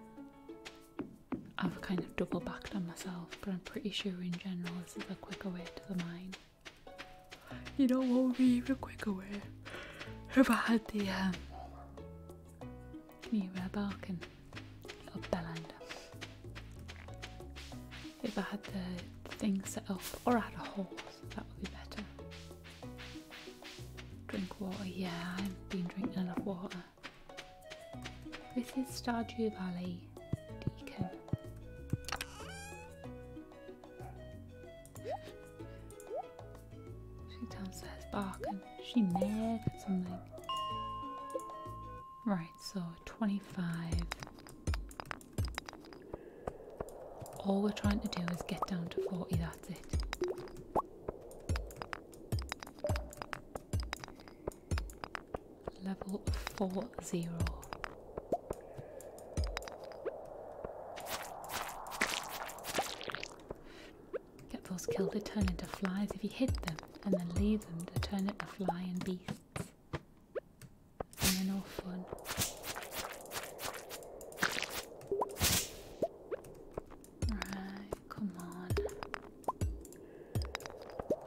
I've kind of double backed on myself. But I'm pretty sure in general this is a quicker way to the mine. You know what would be even quicker way? If I had the, um, can you hear my little If I had the thing set up, or I had a horse, that would be better. Drink water, yeah, I've been drinking a lot of water. This is Stardew Valley Deacon. She downstairs barking. She mad at something. Right, so 25. All we're trying to do is get down to 40, that's it. Level 40. Get those killed, they turn into flies if you hit them and then leave them to turn into flying beasts. And they're fun. Right, come on.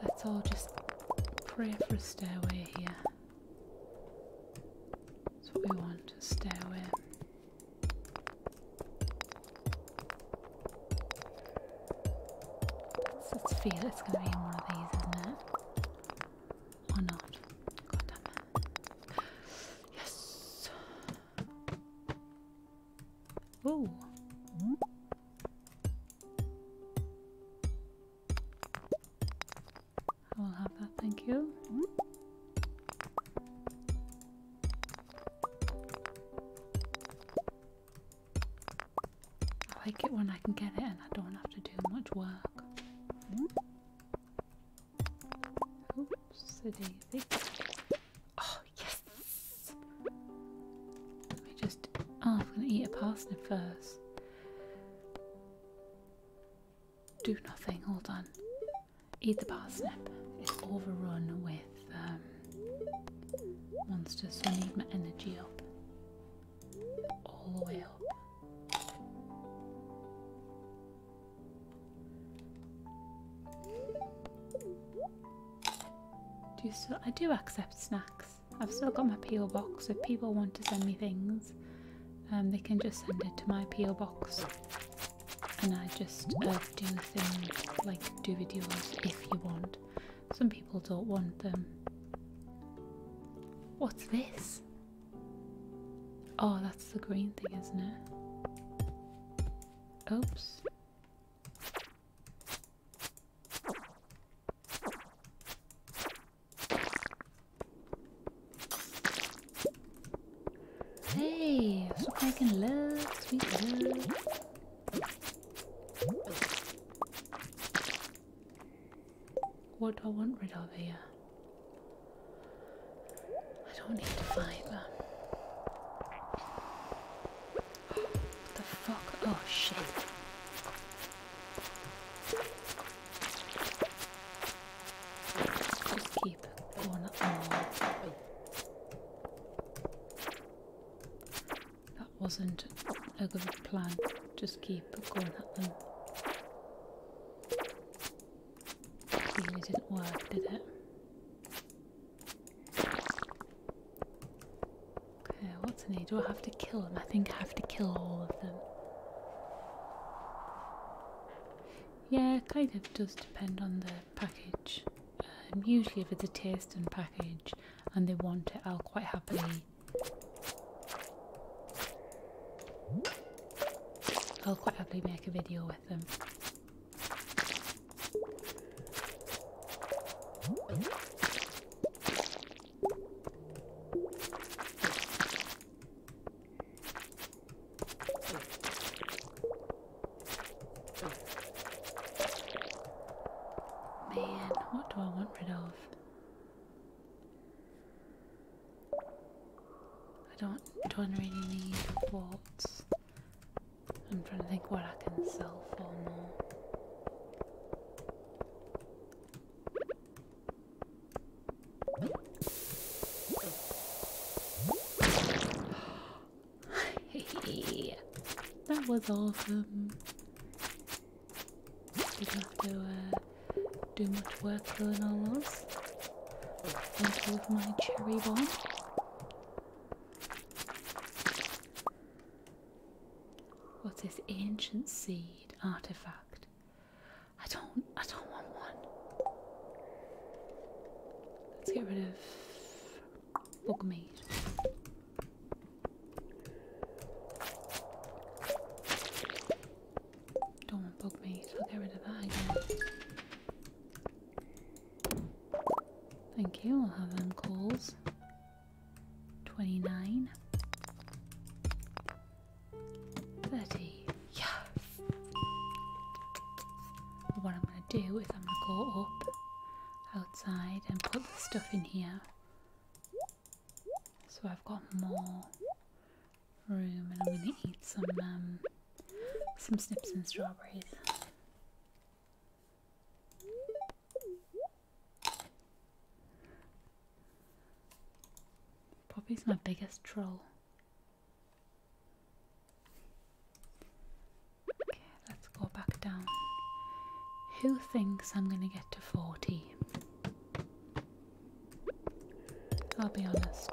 let all just pray for a stairway here. That's what we want, a stairway let's feel it's going to be in one of these, isn't it? Or not? Yes! Ooh! I will have that, thank you. I like it when I can get it and I don't have to do much work. Oops, a daisy. Oh, yes! Let me just. Oh, I'm gonna eat a parsnip first. Do nothing, hold on. Eat the parsnip. It's overrun with um, Monsters, so I need my energy up. All the way up. Do you I do accept snacks. I've still got my PO box. If people want to send me things, um, they can just send it to my PO box. And I just uh, do things like do videos if you want. Some people don't want them. What's this? Oh, that's the green thing, isn't it? Oops. Hey, making love, sweet love. What do I want rid of here? I don't need fibre. What the fuck? Oh shit. just keep going. Oh. That wasn't a good plan. Just keep going at them. It didn't work, did it? Okay, what's in here? Do I have to kill them? I think I have to kill all of them. Yeah, kind of does depend on the package. Um, usually if it's a taste and package and they want it, I'll quite happily I'll quite happily make a video with them. Man, what do I want rid of? I don't don't really need waltz. I'm trying to think what I can sell for more. that was awesome. We do not have to do much work filling all those. Thank you for my cherry bomb. What's ancient seed artifact? I don't I don't want one. Let's get rid of bug meat. Don't bug me, I'll get rid of that again. Thank you, I'll have them calls. 29. 30. Yes! What I'm going to do is I'm going to go up outside and put the stuff in here so I've got more room and I'm gonna eat some um, some snips and strawberries. Poppy's my biggest troll. Okay, let's go back down. Who thinks I'm gonna get to 40? I'll be honest,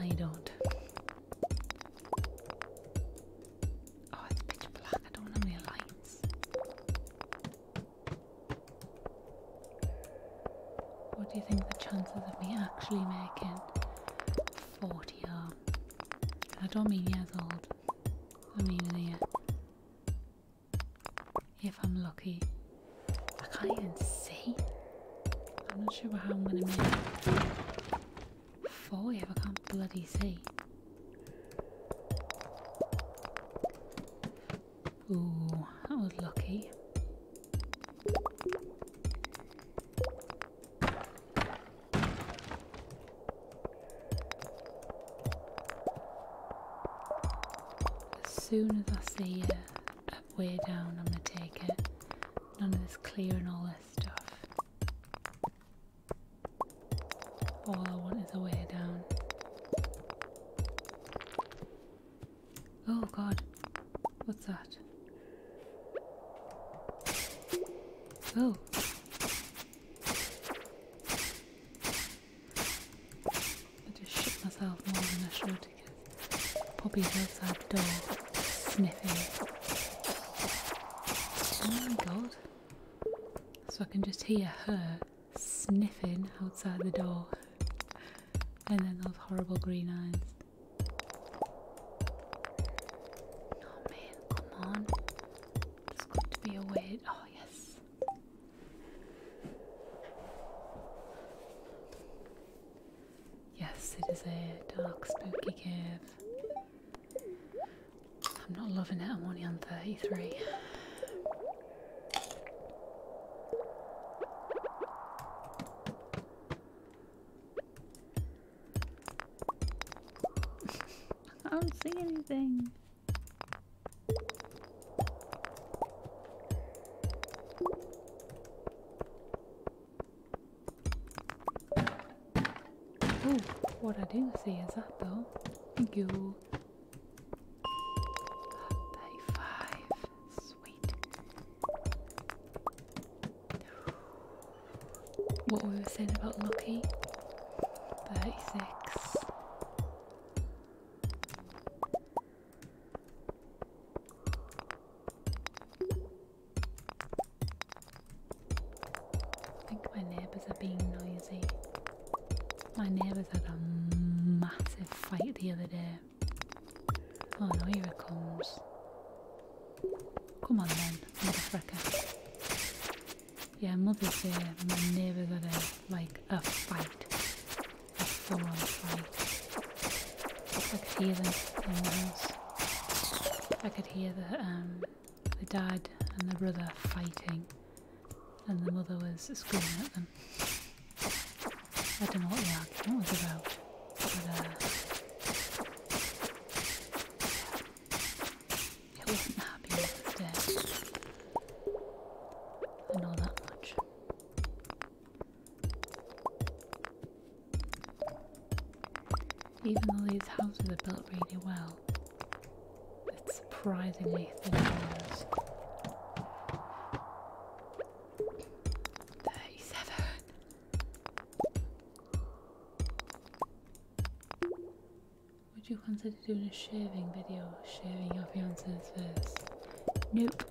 I don't. Oh, it's pitch black. I don't have any lights. What do you think the chances of me actually making 40 are? I don't mean years old, I mean in if I'm lucky. I can't even see. I'm not sure how I'm gonna make four if I can't bloody see. Ooh, that was lucky. As soon as I see it a way down, I'm going to take it. None of this clearing all this stuff. All I want is a way down. Oh god, what's that? Oh. I just shit myself more than I should because Poppy's outside the door sniffing. Oh my god. So I can just hear her sniffing outside the door. And then those horrible green eyes. Oh man, come on. It's good to be awake. Oh yes. Yes, it is a dark, spooky cave. I'm not loving it, I'm only on 33. I don't see anything. Oh, what I didn't see is that though. You thirty-five. Sweet. What we were saying about Lucky. Thirty-six. I think my neighbours are being noisy. My neighbours had a massive fight the other day. Oh no, here it comes. Come on then, motherfucker. Yeah, mother's uh, my neighbour got a, like, a fight. A full-on fight. I could hear them in I could hear the, um, the dad and the brother fighting. And the mother was screaming at them. I don't know what the argument was about. Uh, it wasn't happy with it. I know that much. Even though these houses are built really well, it's surprisingly thin 37! Would you consider doing a shaving video, shaving your fiance's face? Nope.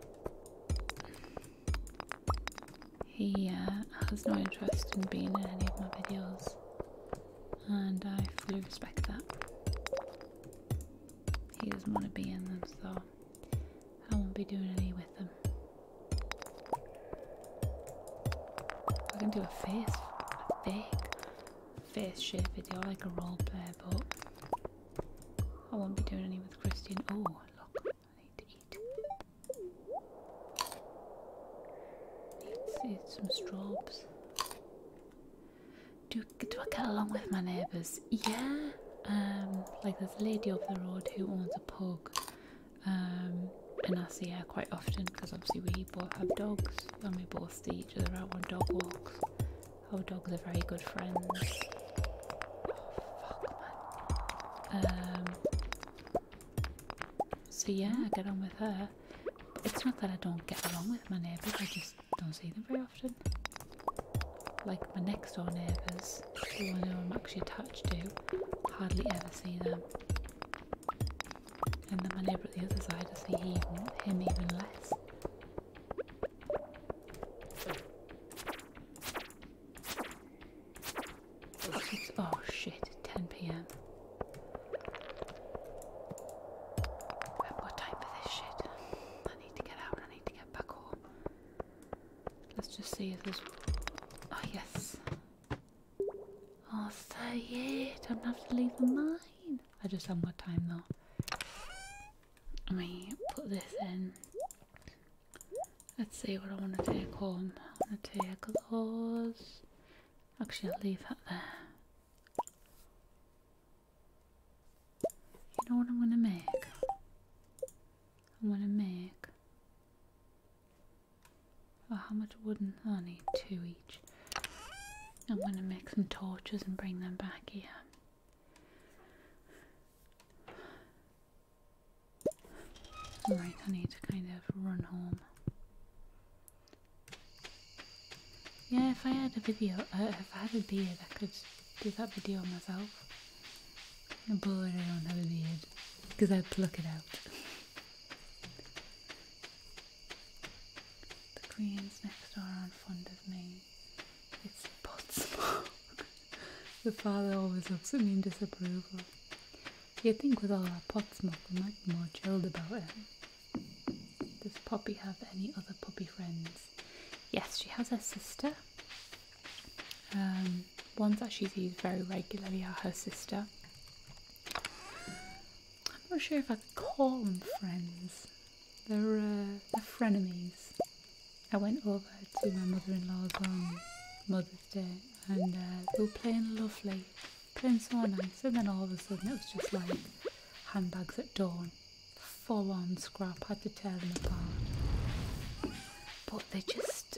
He uh, has no interest in being in any of my videos, and I fully respect that. He doesn't want to be in them, so I won't be doing any with them. I can do a face, a fake face share video, like a role player, but I won't be doing any with Christian. Oh, look, I need to eat. Need some straws. Do, do I get along with my neighbours? Yeah. Um, like there's a lady over the road who owns a pug. Um, and I see her quite often because obviously we both have dogs and we both see each other out on dog walks Oh, dogs are very good friends. Oh, um, so yeah, I get on with her. It's not that I don't get along with my neighbours, I just don't see them very often. Like my next door neighbours, who I know I'm actually attached to, hardly ever see them. And then my neighbour at the other side, I see he, him even less oh shit, 10 p.m. What time for this shit? I need to get out, I need to get back home. Let's just see if there's... Oh yes. Oh, 38, I'm gonna have to leave the mine. I just haven't got time though. Let me put this in. Let's see what I want to take home. I want to take those. Actually, I'll leave that there. You know what I'm going to make? I'm going to make. Oh, how much wood Oh, I need two each. I'm going to make some torches and bring them back here. Alright, I need to kind of run home. Yeah, if I had a video, uh, if I had a beard, I could do that video myself. But I don't have a beard, because I pluck it out. the Koreans next door are not fond of me. It's pot smoke. the father always looks at me in disapproval. you think with all that pot smoke we might be more chilled about it. Does Poppy have any other puppy friends? Yes, she has her sister. Um, ones that she sees very regularly are her sister. I'm not sure if I could call them friends. They're, uh, frenemies. I went over to my mother-in-law's on Mother's Day and uh, they were playing lovely, playing so nice and then all of a sudden it was just like handbags at dawn. Full on scrap, had to tear them apart. But they just,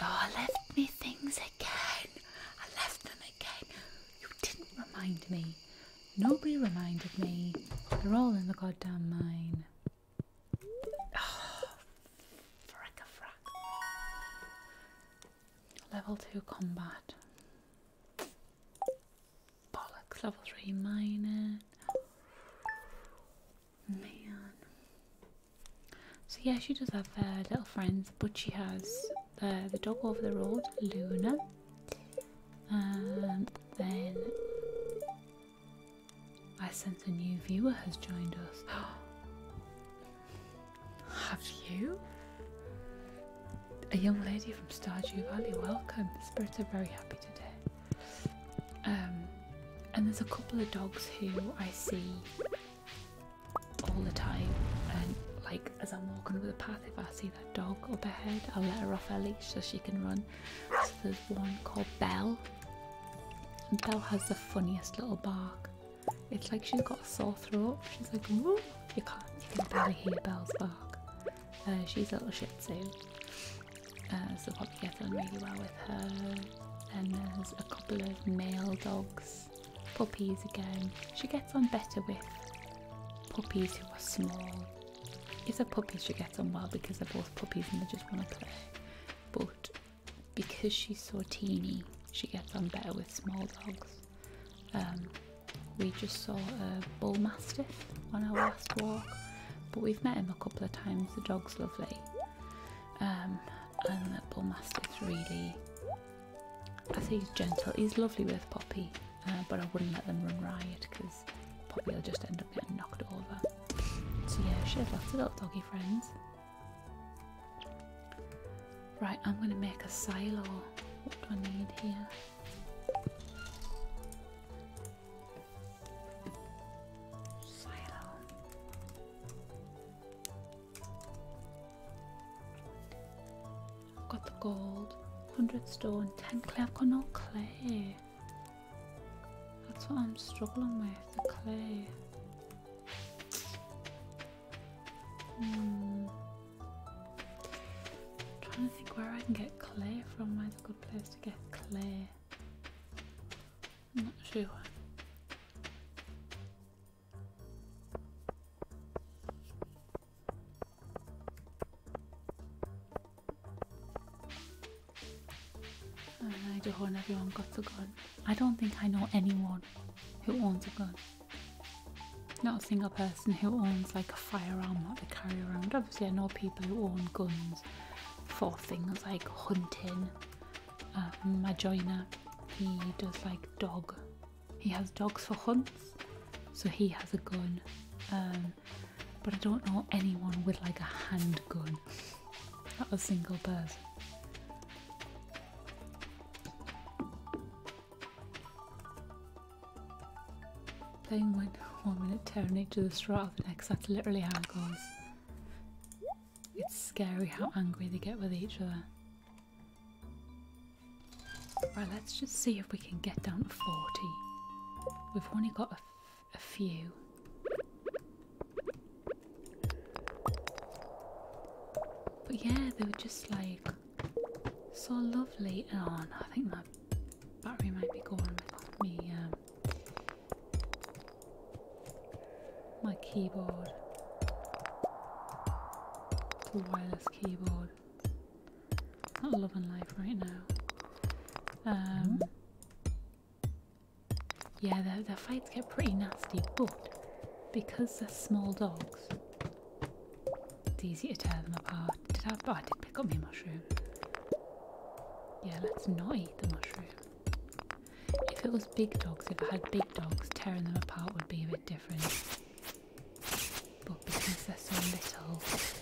oh, left me things again. I left them again. You didn't remind me. Nobody reminded me. They're all in the goddamn mine. Oh, ah, frick frack. Level 2 combat. Bollocks, level 3 mining. Man. So yeah, she does have uh, little friends, but she has uh, the dog over the road, Luna. And then I sense a new viewer has joined us. Have you? A young lady from Stardew Valley, welcome. The spirits are very happy today. Um, and there's a couple of dogs who I see all the time, and like as I'm walking over the path if I see that dog up ahead, I'll let her off her leash so she can run. So there's one called Belle. And Belle has the funniest little bark. It's like she's got a sore throat. She's like, you can't, you can barely hear Belle's bark. Uh, she's a little shitsu, uh, so probably get on really well with her. And there's a couple of male dogs, puppies again. She gets on better with puppies who are small if a puppy, she gets on well because they're both puppies and they just want to play. But because she's so teeny, she gets on better with small dogs. Um, we just saw a bullmastiff on our last walk, but we've met him a couple of times. The dog's lovely, um, and that bull really. I say he's gentle. He's lovely with Poppy, uh, but I wouldn't let them run riot because otherwise Poppy will just end up getting knocked over. So yeah, she has lots of little doggy friends. Right, I'm going to make a silo. What do I need here? Silo. got the gold, 100 stone, 10 clay. I've got no clay. That's what I'm struggling with, the clay. Hmm. trying to think where I can get clay from, where's a good place to get clay? I'm not sure. I do when everyone got a gun. I don't think I know anyone who owns a gun. Not a single person who owns like a firearm that they carry around. Obviously, I know people who own guns for things like hunting. Um, he does like dog. He has dogs for hunts, so he has a gun. Um, but I don't know anyone with like a handgun. Not a single person. Playing one, one minute tearing each other straight off the next, that's literally how it goes. It's scary how angry they get with each other. Right, let's just see if we can get down to 40. We've only got a a few. But yeah, they were just like so lovely. Oh no, I think my battery might be going me, um, my keyboard, the wireless keyboard. Not love and life right now. Um, hmm? yeah, the fights get pretty nasty, but because they're small dogs, it's easy to tear them apart. Did I, oh, I did pick up my mushroom. Yeah, let's not eat the mushroom. If it was big dogs, if I had big dogs, tearing them apart would be a bit different. But because they're so little,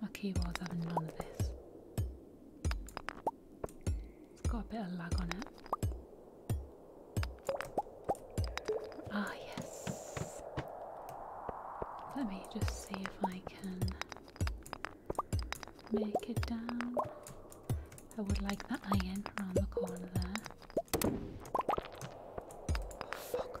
My keyboard's having none of this. It's got a bit of lag on it. Ah, yes. Let me just see if I can make it down. I would like that iron around the corner there. Oh, fuck.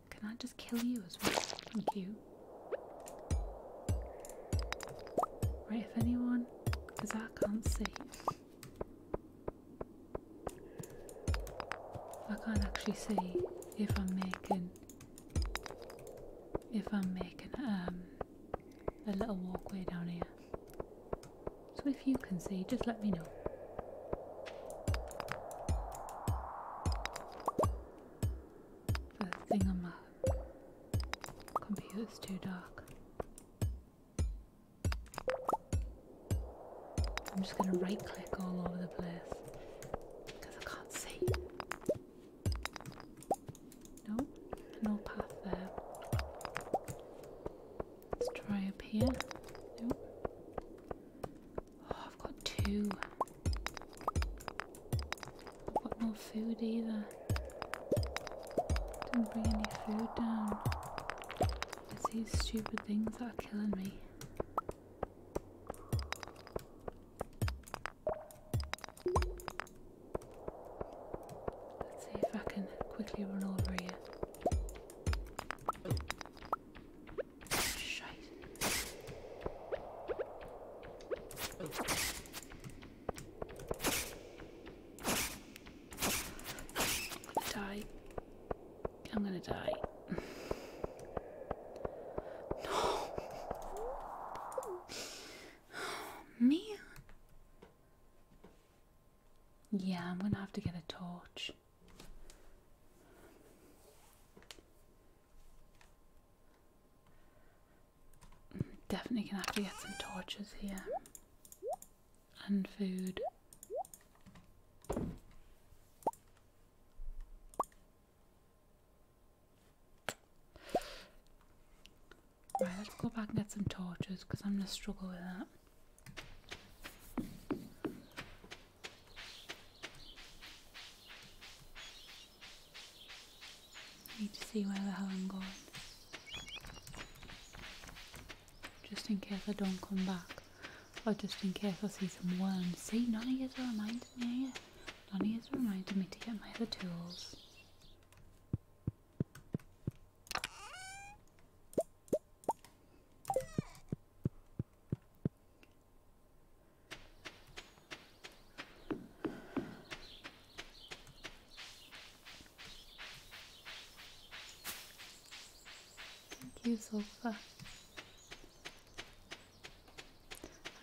Can I just kill you as well? Thank you. Right, if anyone, because I can't see. I can't actually see if I'm making if I'm making um a little walkway down here. So if you can see, just let me know. The thing on my computer's too dark. I'm just going to right click all over the place because I can't see. No, no path there. Let's try up here. Nope. Oh, I've got two. I've got no food either. Didn't bring any food down. It's these stupid things that are killing me. Let's see if I can quickly run over here. Die. I'm gonna die. no. Me? Yeah, I'm gonna have to get a torch. Definitely gonna have to get some torches here. And food. Right, let's go back and get some torches because I'm gonna struggle with that. Need to see where the hell I'm going. Just in case I don't come back. Or just in case I see some worms. See, none of you reminding me. None of reminding me to get my other tools. Thank you, Zulfa.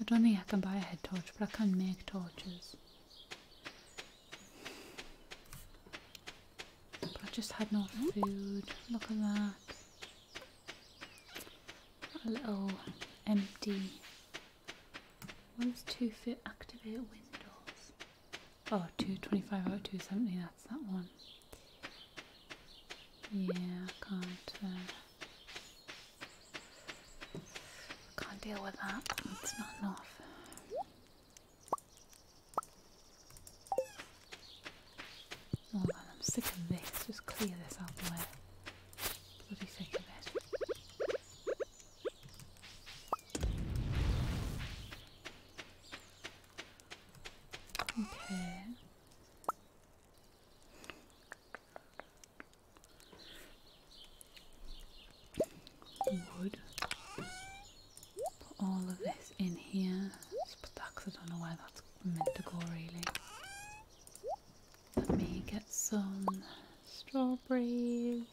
I don't think I can buy a head torch, but I can make torches. But I just had no hmm? food. Look at that a little empty What two fit activate windows oh 225 out 270 that's that one yeah I can't uh, can't deal with that it's not enough Oh, I'm sick of this. Just clear this out the way. Bloody sick of it. Okay. Wood. Put all of this in here. put that I don't know where that's meant to go really. Let me get some strawberries.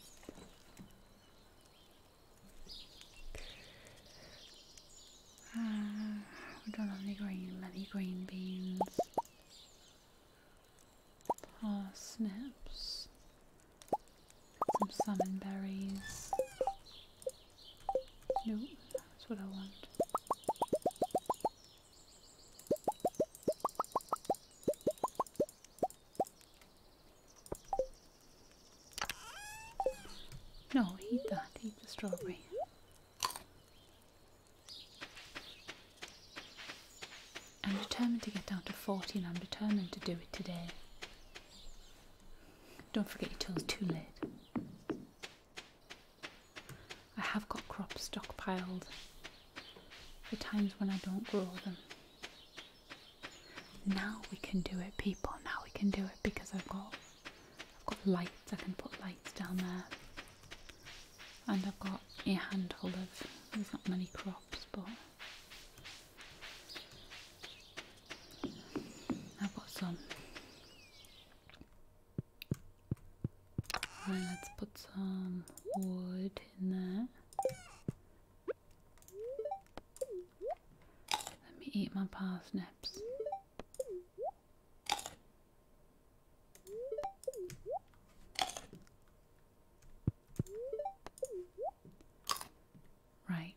Uh, we don't have any green, many green beans. Parsnips. Some salmonberries. Nope, that's what I want. No, eat that, eat the strawberry. I'm determined to get down to 40 and I'm determined to do it today. Don't forget your toes too late. I have got crops stockpiled for times when I don't grow them. Now we can do it, people. Now we can do it because I've got I've got lights. I can put lights down there, and I've got a handful of. There's not many crops, but I've got some. Right, let's put some wood in there. Let me eat my parsnips. Right.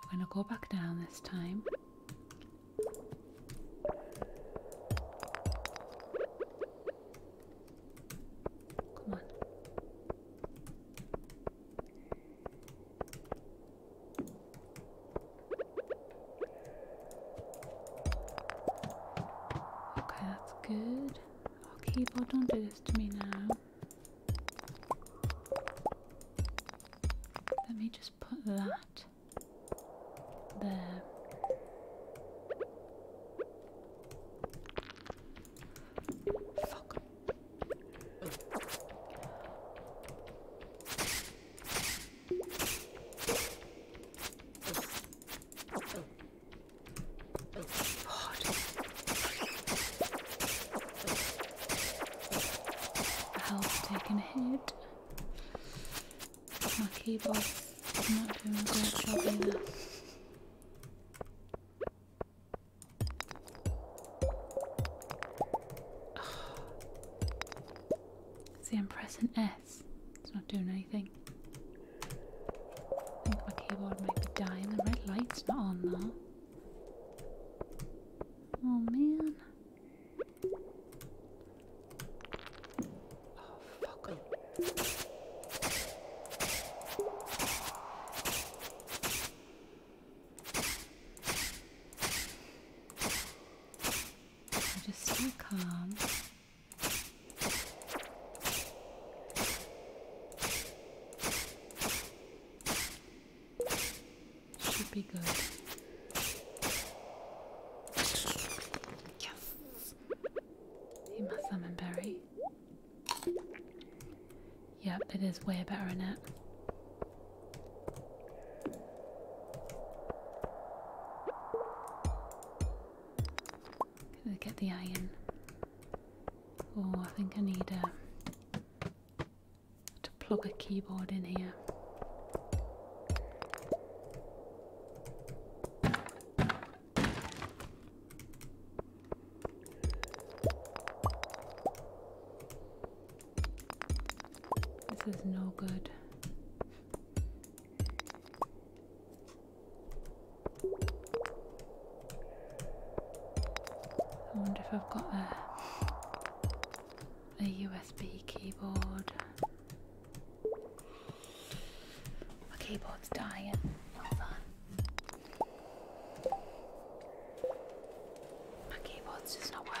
We're going to go back down this time Come on. Okay, that's good. Oh, keyboard, don't do this to me now. Let me just put that there. Fuck. God. The health taken a hit. My keyboard's not doing a great job either. See, I'm pressing S. It's not doing anything. I think my keyboard might be dying. The red light's not on though. Oh man. Oh, fuck him. So just stay calm. Should be good. Yes! See my salmon Yep, it is way better in it. Gonna get the iron. Oh, I think I need a uh, to plug a keyboard in here. This is no good. I wonder if I've got a the USB keyboard. My keyboard's dying. Hold on. My keyboard's just not working.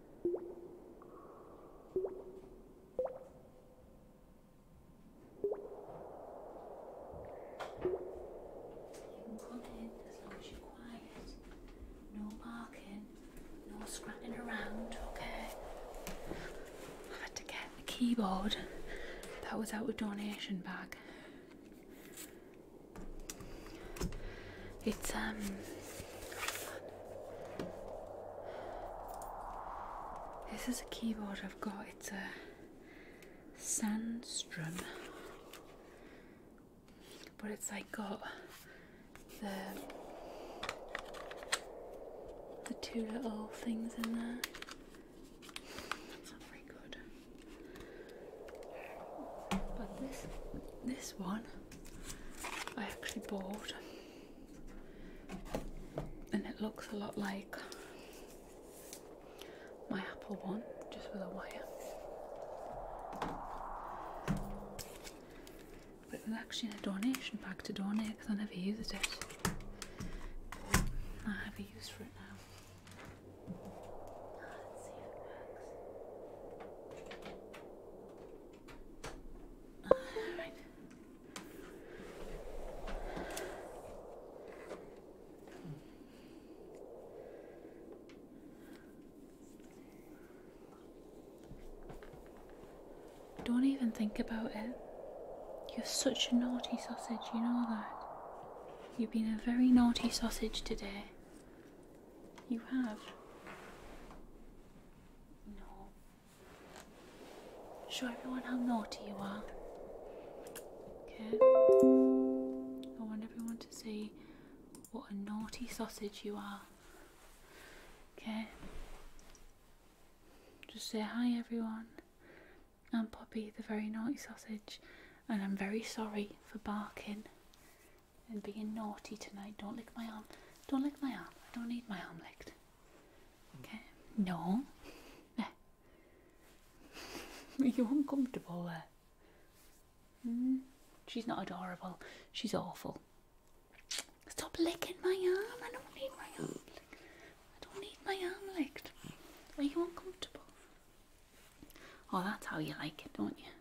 You can come in as long as you're quiet. No barking, no scratching around, okay? I had to get the keyboard that was out of donation bag. It's um This is a keyboard I've got. It's a Sandstrom. But it's like got the the two little things in there. It's not very good. But this this one I actually bought and it looks a lot like my Apple one just with a wire but it was actually in a donation pack to donate because I never used it I have a use for it now Let's see if it works right. Don't even think about it. You're such a naughty sausage, you know that. You've been a very naughty sausage today. You have. Show everyone how naughty you are. Okay? I want everyone to see what a naughty sausage you are. Okay? Just say hi, everyone. I'm Poppy, the very naughty sausage, and I'm very sorry for barking and being naughty tonight. Don't lick my arm. Don't lick my arm. I don't need my arm licked. Okay? No. Are you uncomfortable there? Mm? She's not adorable. She's awful. Stop licking my arm. I don't need my arm. Licked. I don't need my arm licked. Are you uncomfortable? Oh, that's how you like it, don't you?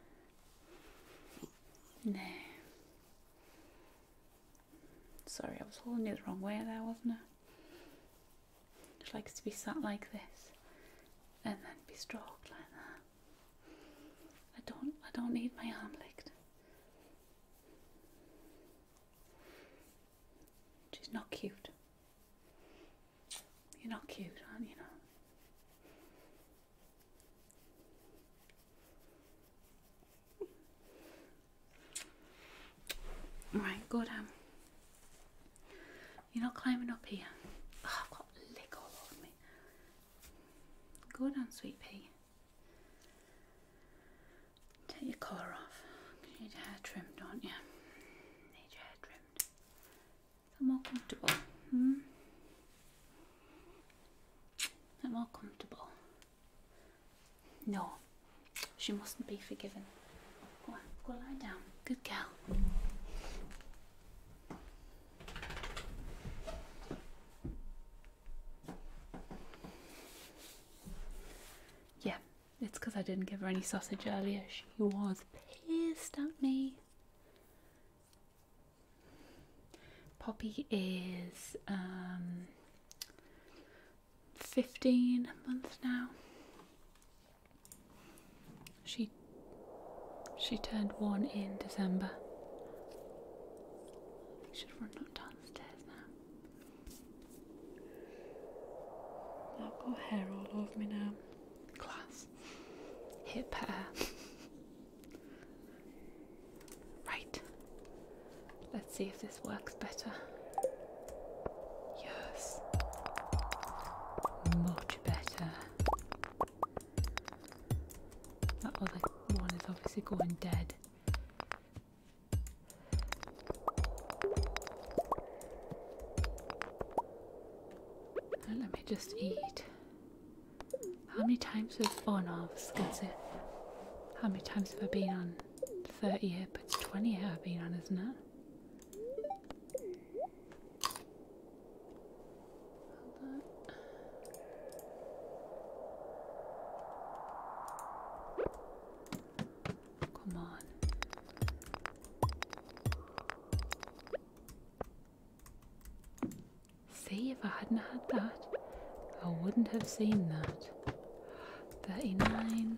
No. Sorry, I was holding you the wrong way there, wasn't I? She likes to be sat like this and then be stroked like that. I don't I don't need my arm licked. She's not cute. You're not cute, aren't you? Know? Right, go down. Um, you're not climbing up here. Oh, I've got lick all over me. Go down, um, sweet pea. Take your collar off. You need your hair trimmed, don't you? Need your hair trimmed. Feel more comfortable. Hmm? I'm more comfortable. No, she mustn't be forgiven. Go on, go lie down. Good girl. Yeah, it's because I didn't give her any sausage earlier. She was pissed at me. Poppy is um, 15 months now. She she turned one in December. I should run up downstairs now. I've got hair all over me now. Class. Hip hair. Right. Let's see if this works better. Yes. Much better. That other one is obviously going dead. Let me just eat. How many times have I was gonna how many times have I been on? Thirty year, but twenty year I've been on, isn't it? Come on. See, if I hadn't had that, I wouldn't have seen that. 39.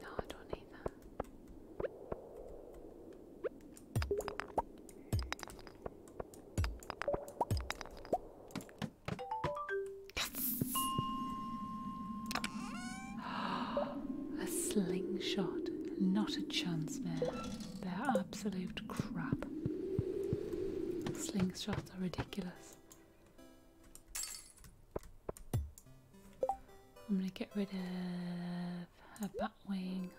No, I don't need that. a slingshot. Not a chance, man. They're absolute crap. Slingshots are ridiculous. I'm gonna get rid of a bat wing.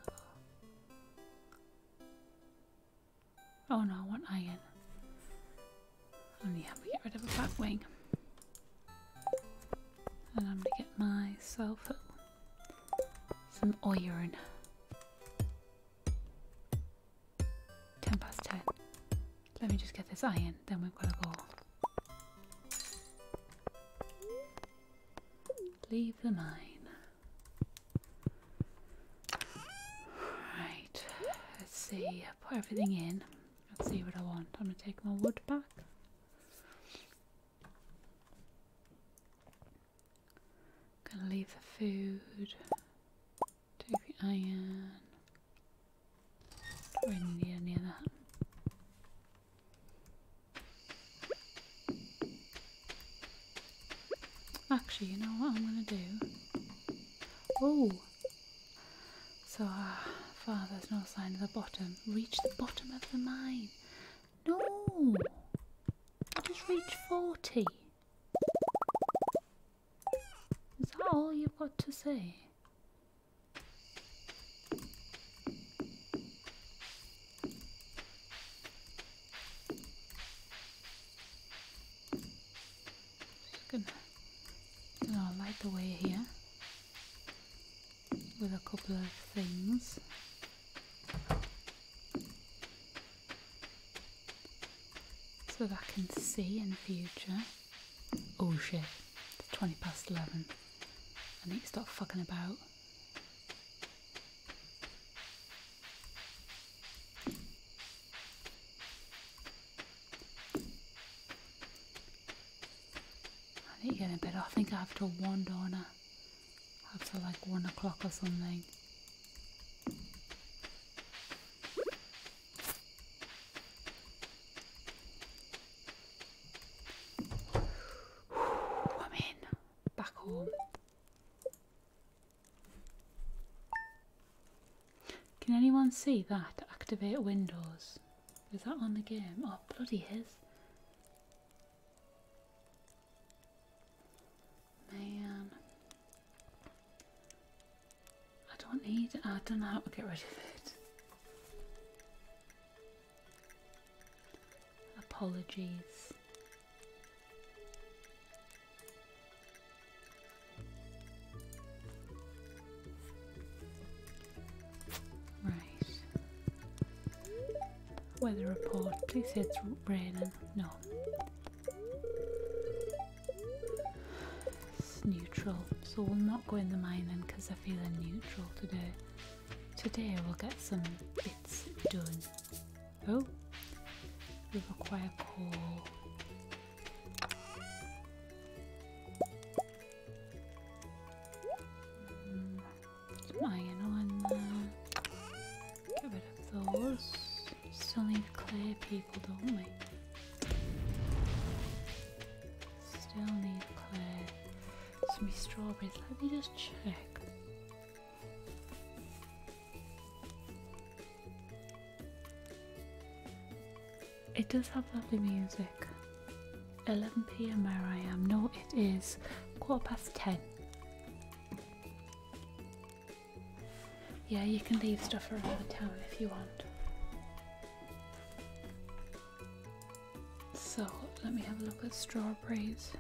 Oh no, I want iron. I'm going to get rid of a bat wing. And I'm gonna get myself some iron. Ten past ten. Let me just get this iron, then we've got to go. Leave the mine. Right, let's see. Put everything in. Let's see what I want. I'm going to take my wood back. Gonna leave the food, take the iron. Don't need any of that. Actually, you know what I'm gonna do? Oh! So uh, far there's no sign of the bottom. Reach the bottom of the mine. No. I just reached 40. Is that all you've got to say? Just gonna oh, light the way here with a couple of things. So that I can see in the future. Oh shit, it's 20 past 11. I need to stop fucking about. I need to get in bed. I think I have to wander. donor after like one o'clock or something. I'm in, back home. Can anyone see that? Activate Windows. Is that on the game? Oh, bloody is. Man. I don't need I don't know how to get rid of it. Apologies. Weather report. Please say it's raining. No. It's neutral. So we'll not go in the mining because I feel neutral today. Today we'll get some bits done. Oh. We require coal. Mm. Put an iron on there. Get rid of those. Still need clear people, don't we? Still need clear. Some strawberries. Let me just check. It does have lovely music. 11 pm where I am. No, it is quarter past 10. Yeah, you can leave stuff around the town if you want. So let me have a look at strawberries.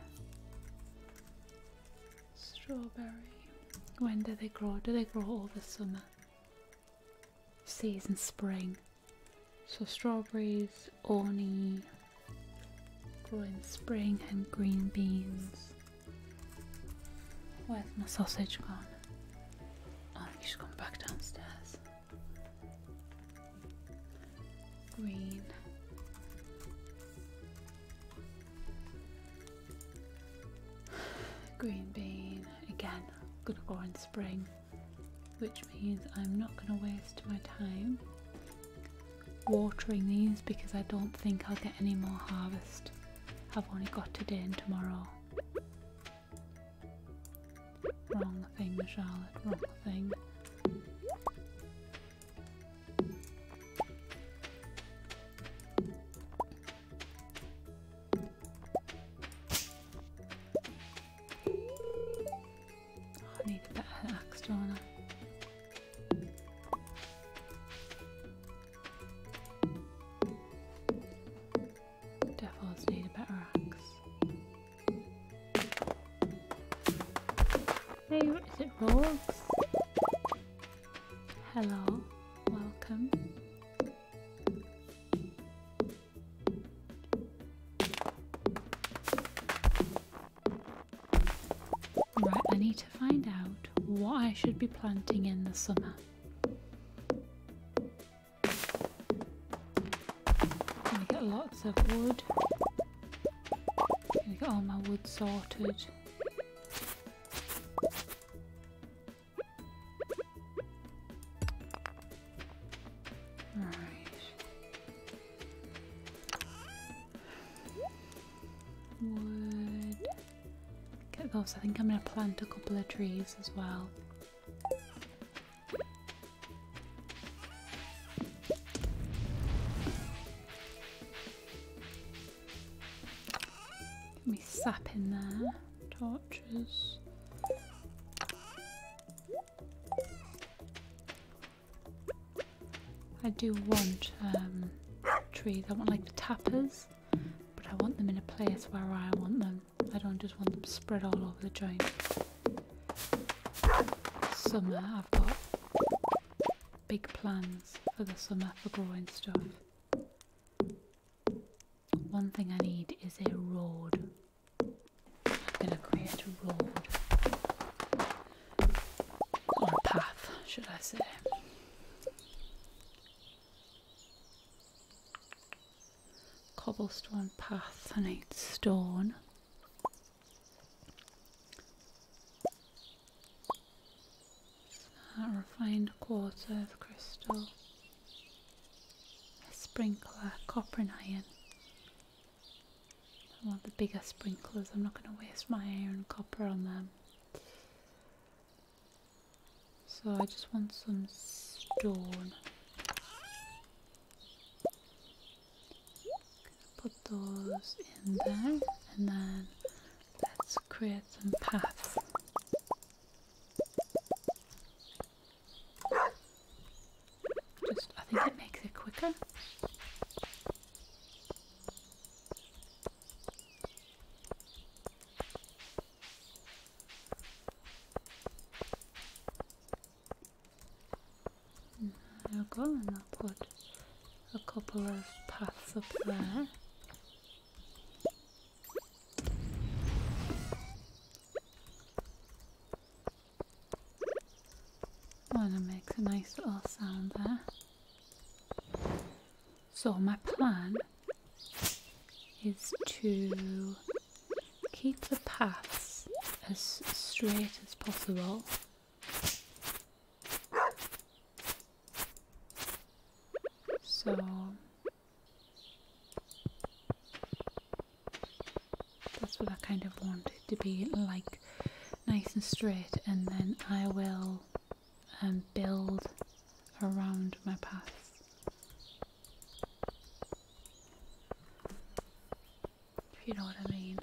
Strawberry. When do they grow? Do they grow all the summer? Season spring. So strawberries, oni, grow spring and green beans. Where's my sausage gone? Oh, she's gone back downstairs. Green. Green bean, again, gonna go in spring, which is I'm not going to waste my time watering these because I don't think I'll get any more harvest. I've only got today and tomorrow. Wrong thing, Charlotte, wrong thing. I need a better axe, I? Devils need a better axe. Hey, it Rogues? Hello, welcome. Right, I need to find out what I should be planting in the summer. Gonna get lots of wood. Gonna get all my wood sorted. Right. Get those. I think I'm going to plant a couple of trees as well. Get me sap in there. Torches. I do want um, trees. I want like the tappers, but I want them in a place where I want them. I don't just want them spread all over the joint. Summer, I've got big plans for the summer for growing stuff. One thing I need is a rod. I'm going to create a rod path, should I say. Cobblestone path, I need stone. A refined quartz earth crystal, a sprinkler, copper and iron. I want the bigger sprinklers, I'm not going to waste my iron copper on them. So I just want some stone. Put those in there and then let's create some paths. Just, I think it makes it quicker. There we go, and I'll put a couple of paths up there and it makes a nice little sound there. So my plan is to keep the paths as straight as possible. So that's what I kind of want to be like nice and straight and then I will um, build around my path. If you know what I mean.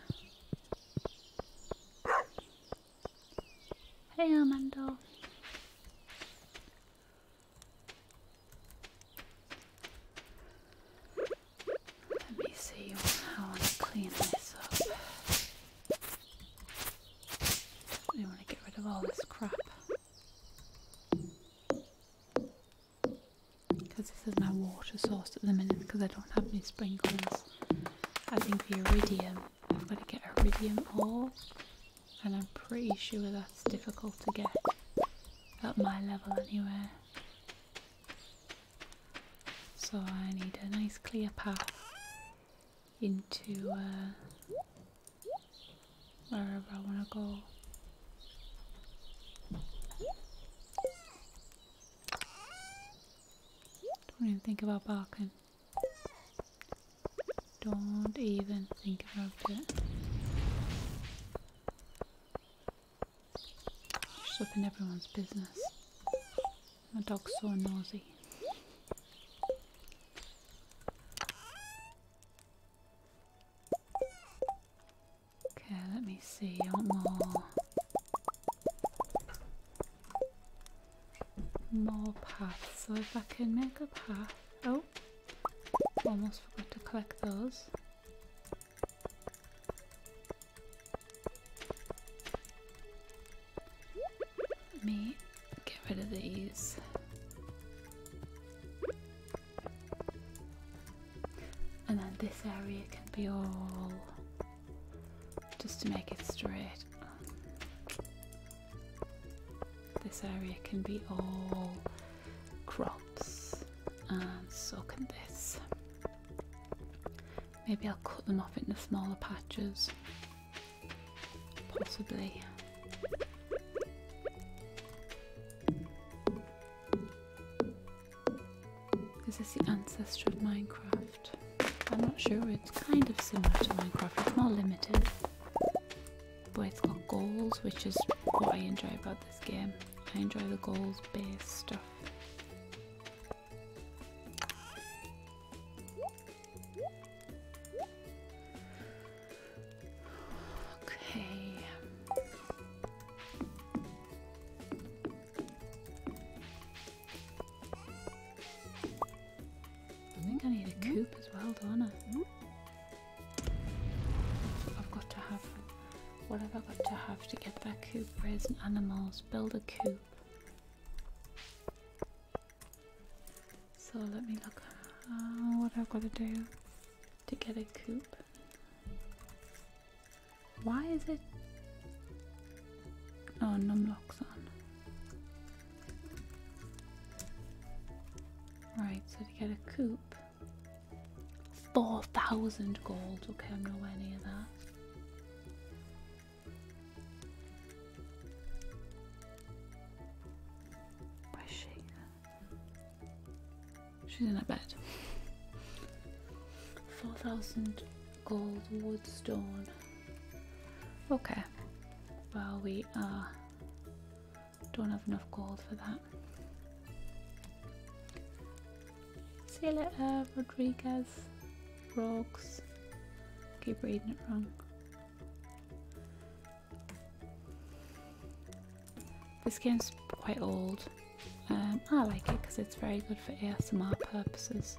Hey Armando! Let me see how I clean this up. I want to get rid of all this crap. Because this is my water source at the minute because I don't have any sprinklers. I think the iridium, I've got to get iridium ore and I'm pretty sure that's difficult to get at my level anyway. So I need a nice clear path into uh, wherever I want to go. Don't even think about barking. Don't even think about it. She's everyone's business. My dog's so noisy. Okay, let me see. want more. More paths. So if I can make a path. Oh! Almost forgot to collect those me get rid of these. And then this area can be all just to make it straight. This area can be all crops and so can this. Maybe I'll cut them off into smaller patches. Possibly. Is this the ancestor of Minecraft? I'm not sure, it's kind of similar to Minecraft, it's not limited. But it's got goals, which is what I enjoy about this game. I enjoy the goals based stuff. Okay. I think I need a mm-hmm. coop as well, don't I? Mm-hmm. I've got to have. What have I got to have to get that coop? Raise animals, build a coop. So let me look what I've got to do to get a coop? Why is it? Oh, numlocks on. Right, so to get a coop, 4,000 gold. Okay, I'm nowhere of that. Where's she? She's in her bed. 4,000 gold wood stone. Okay. Well, we uh, don't have enough gold for that. See you uh, Rodriguez. Rogues. Keep reading it wrong. This game's quite old. Um, I like it because it's very good for ASMR purposes.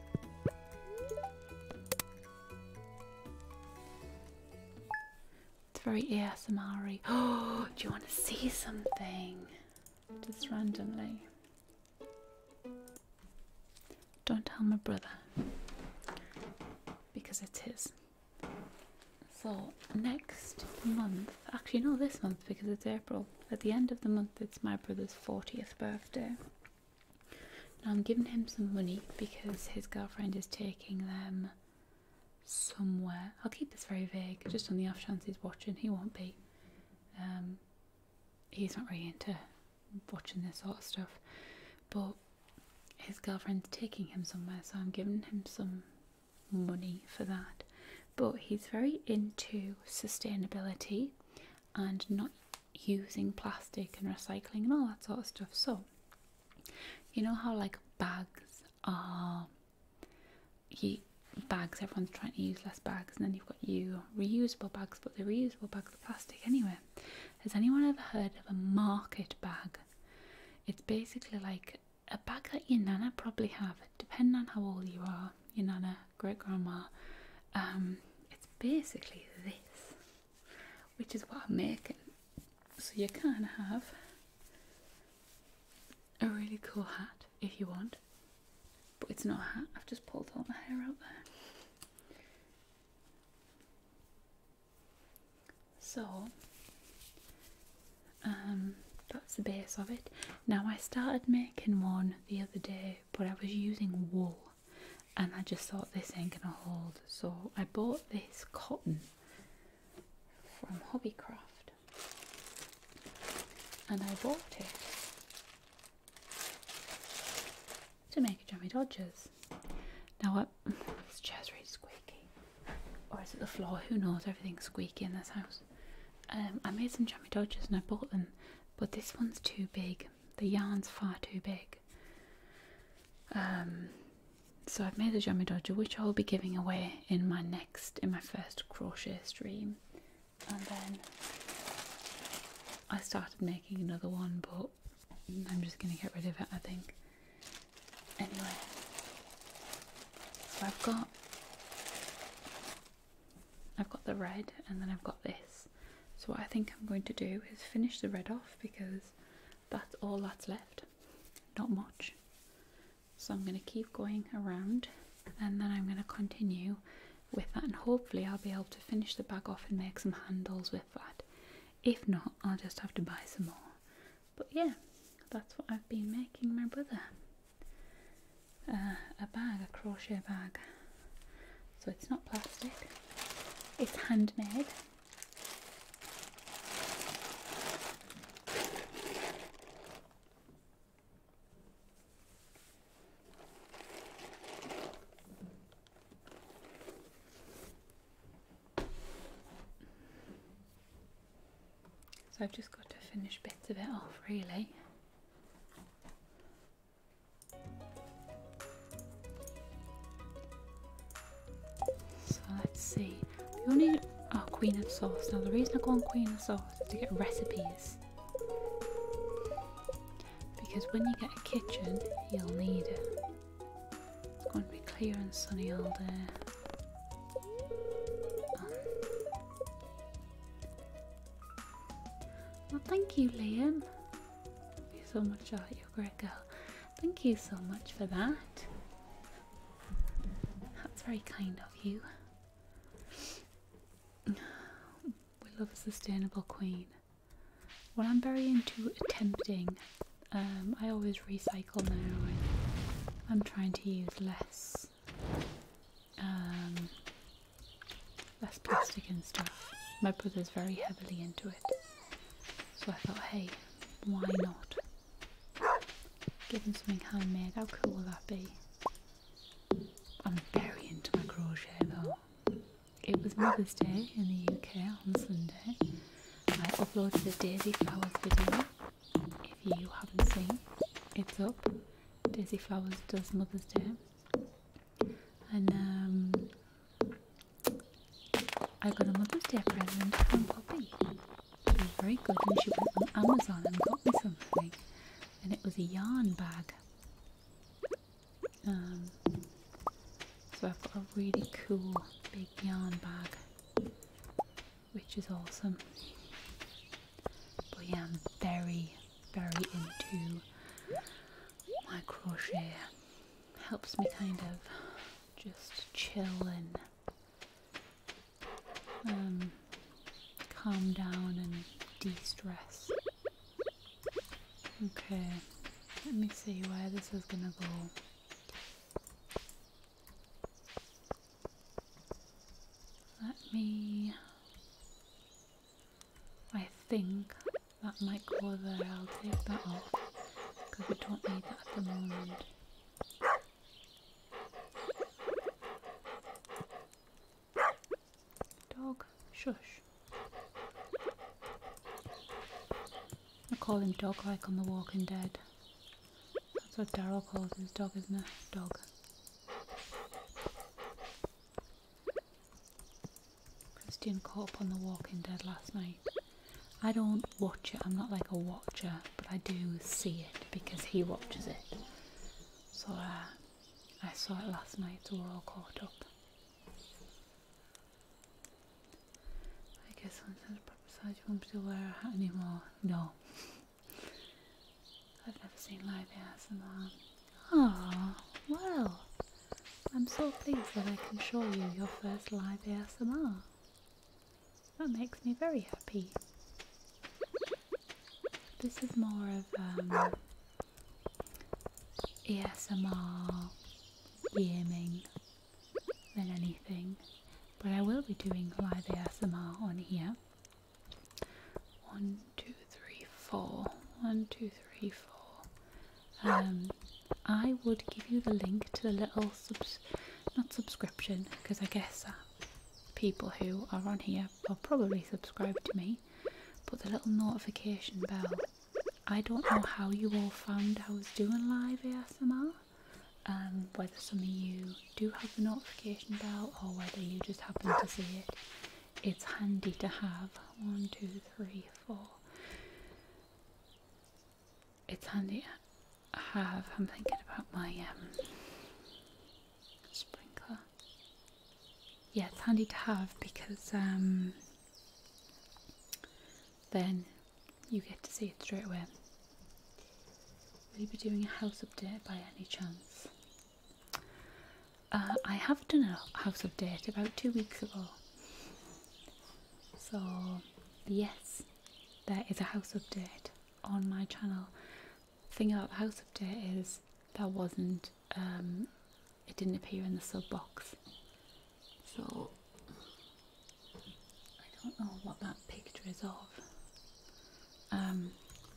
It's very ASMR Oh, do you want to see something? Just randomly. Don't tell my brother because it is. So next month, actually not this month because it's April. At the end of the month, it's my brother's fortieth birthday. Now I'm giving him some money because his girlfriend is taking them somewhere. I'll keep this very vague, just on the off chance he's watching. He won't be. Um, he's not really into watching this sort of stuff. But his girlfriend's taking him somewhere, so I'm giving him some money for that. But he's very into sustainability and not using plastic and recycling and all that sort of stuff. So, you know how like bags are, bags, everyone's trying to use less bags, and then you've got you reusable bags, but the reusable bags plastic anywhere. Has anyone ever heard of a market bag? It's basically like a bag that your nana probably have, depending on how old you are, your nana, great grandma. Um, it's basically this, which is what I'm making. So you can have a really cool hat if you want but it's not a I've just pulled all my hair out there. So, um, that's the base of it. Now, I started making one the other day, but I was using wool and I just thought this ain't gonna hold. So, I bought this cotton from Hobbycraft and I bought it to make a Jummy Dodgers. Now what? This chair's really squeaky. Or is it the floor? Who knows? Everything's squeaky in this house. Um, I made some Jummy Dodgers and I bought them, but this one's too big. The yarn's far too big. Um, so I've made a Jummy Dodger, which I'll be giving away in my next, in my first crochet stream and then I started making another one, but I'm just gonna get rid of it, I think. Anyway, so I've got I've got the red, and then I've got this. So what I think I'm going to do is finish the red off because that's all that's left, not much. So I'm going to keep going around, and then I'm going to continue with that and hopefully I'll be able to finish the bag off and make some handles with that. If not, I'll just have to buy some more. But yeah, that's what I've been making my brother. Uh, a bag, a crochet bag. So it's not plastic, it's handmade. So I've just got to finish bits of it off really. So let's see. We all need our Queen of Sauce. Now the reason I go Queen of Sauce is to get recipes because when you get a kitchen, you'll need it. It's going to be clear and sunny all day. Oh. Well, thank you, Liam. Thank you so much, Art. You're a great girl. Thank you so much for that. That's very kind of you. We love a sustainable queen. Well, I'm very into attempting. Um, I always recycle now. I'm trying to use less, um, less plastic and stuff. My brother's very heavily into it, so I thought, hey, why not? Give him something handmade. How cool will that be? I'm very into my crochet though. It was Mother's Day in the UK on Sunday. I uploaded a Daisy Flowers video. If you haven't seen, it's up. Daisy Flowers does Mother's Day. And um, I got a Mother's Day present from Poppy. She was very good and she went on Amazon and got me something. And it was a yarn bag. Um, so I've got a really cool big yarn bag, which is awesome. But yeah, I'm very, very into my crochet. Helps me kind of just chill and um, calm down and de-stress. Okay, let me see where this is gonna go. Let me. I think that might go there. I'll take that off because we don't need that at the moment. Dog, shush. I call him dog like on The Walking Dead. That's what Daryl calls his dog, isn't it? Dog. Christian caught up on The Walking Dead last night. I don't watch it, I'm not like a watcher, but I do see it because he watches it. So uh, I saw it last night, so we're all caught up. I guess I'm on such purpose I won't be aware anymore. No. I've never seen live ASMR. Ah, well. I'm so pleased that I can show you your first live ASMR. That makes me very happy. This is more of um, ASMR DMing than anything, but I will be doing live ASMR on here. One, two, three, four. One, two, three, four. Um, I would give you the link to the little subs, not subscription, because I guess people who are on here are probably subscribed to me, but the little notification bell I don't know how you all found I was doing live ASMR, um, whether some of you do have the notification bell or whether you just happen to see it. It's handy to have. One, two, three, four. It's handy to have. I'm thinking about my um, sprinkler. Yeah, it's handy to have because um, then you get to see it straight away. Will you be doing a house update by any chance? Uh, I have done a house update about two weeks ago. So, yes, there is a house update on my channel. The thing about the house update is there wasn't um, it didn't appear in the sub box. So I don't know what that picture is of. Um,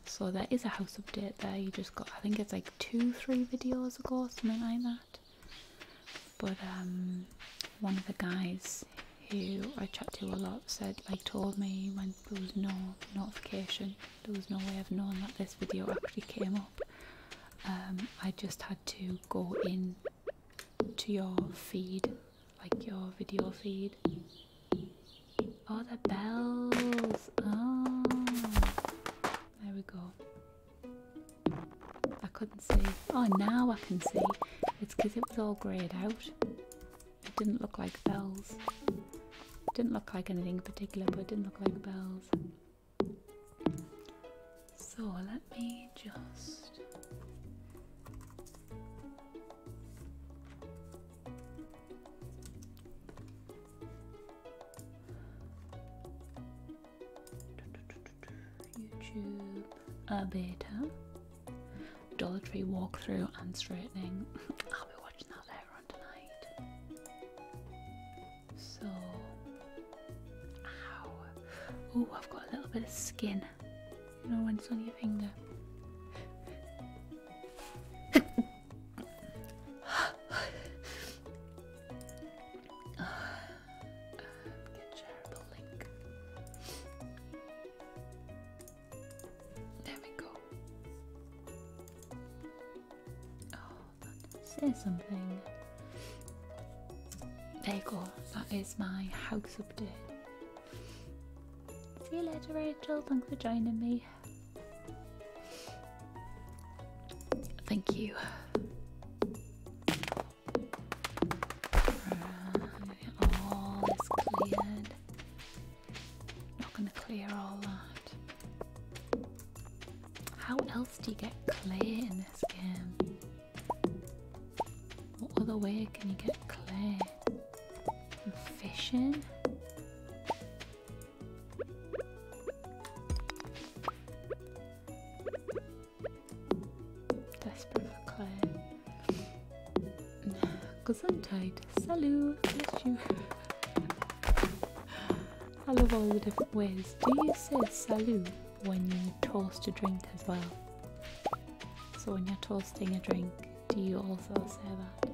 so there is a house update there. You just got, I think it's like two, three videos ago, something like that. But um, one of the guys who I chat to a lot said, like, told me when there was no notification, there was no way of knowing that this video actually came up. I just had to go in to your feed, like your video feed. Oh, the bells! Oh, there we go. I couldn't see. Oh, now I can see. It's because it was all greyed out. It didn't look like bells. Didn't look like anything particular, but it didn't look like bells. So let me just YouTube a beta Dollar Tree walkthrough and straightening. I'll be watching that later on tonight. So, Oh, I've got a little bit of skin. You know when it's on your finger. There we go. Oh. Say something. There you go. That is my house update. See you later, Rachel. Thanks for joining me. Thank you. All is cleared. Not going to clear all that. How else do you get clear in this game? What other way can you get clear? fishing? Desperate for clay. Gesundheit. Salut. Bless you. I love all the different ways. Do you say salut? when you toast a drink as well. So when you're toasting a drink, do you also say that?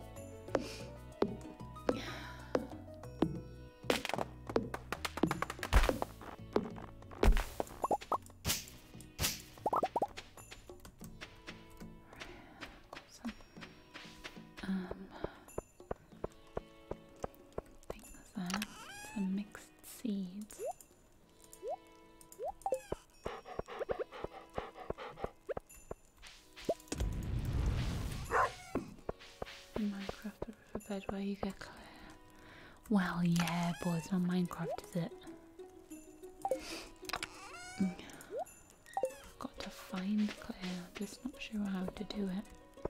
Some, um, think that's that. mix seeds. Well, yeah, boys, not Minecraft, is it? Mm. Got to find clear. just not sure how to do it.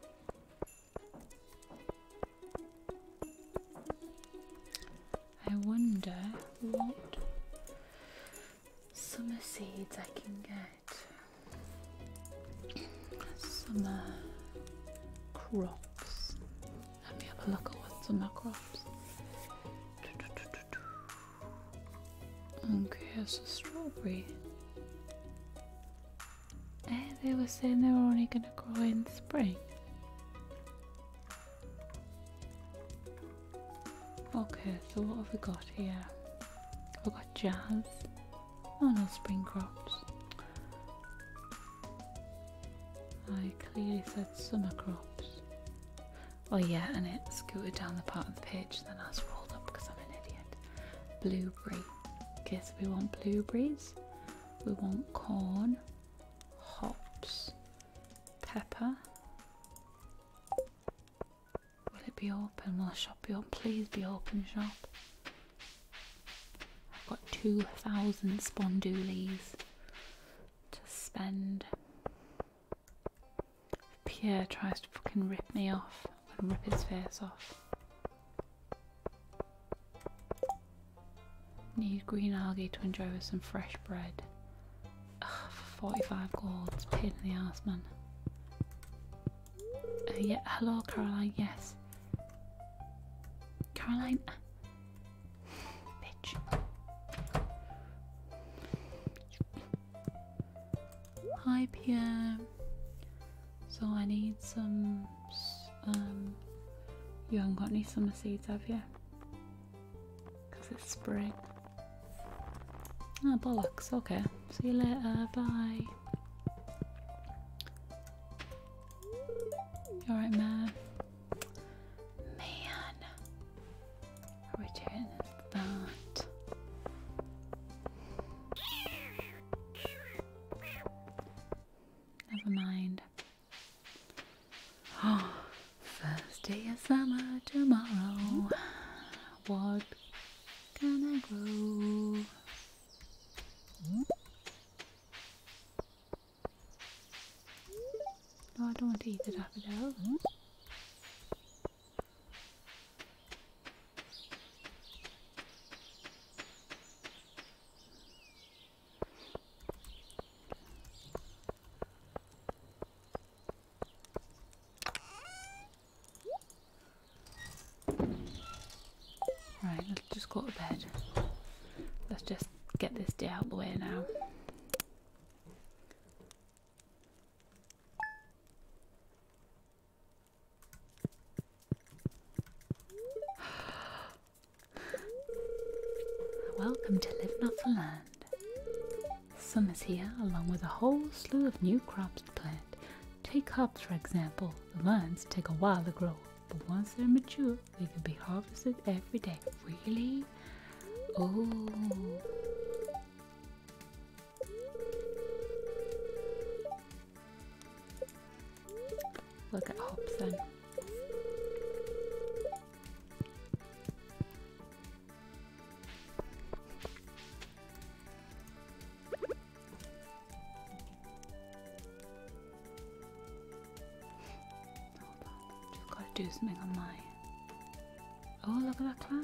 I wonder what summer seeds I can get. summer crops. Let me have a look at what summer crops. Okay, a strawberry they were saying they were only going to grow in spring. Okay, so what have we got here? We've got jazz. Oh no, spring crops. I clearly said summer crops. Oh yeah, and it scooted down the part of the pitch. then I scrolled up because I'm an idiot. Blueberry. Okay, we want blueberries we want corn, hops, pepper. Will it be open? Will the shop be open? Please be open, shop. I've got 2,000 spondulies to spend. Pierre tries to fucking rip me off, and rip his face off. Need green algae to enjoy with some fresh bread. 45 gold, pin in the ass, man. Uh, yeah, hello Caroline, yes. Caroline, bitch. Hi, Pierre. So I need some. Um, you haven't got any summer seeds, have you? Because it's spring. Ah, bollocks. Okay. See you later. Bye. alright, man? Man. What are we doing that? Never mind. first day of summer tomorrow. What can I grow? No, hmm? oh, I don't want to eat the daffodil. Right, let's just go to bed. Let's just get this day out the way now. Welcome to Live Not for Land. Summer's here along with a whole slew of new crops to plant. Take hops for example. The vines take a while to grow, but once they're mature, they can be harvested every day. Really? Oh. Look at Hobson. Just gotta do something on mine. Oh, look at that cloud.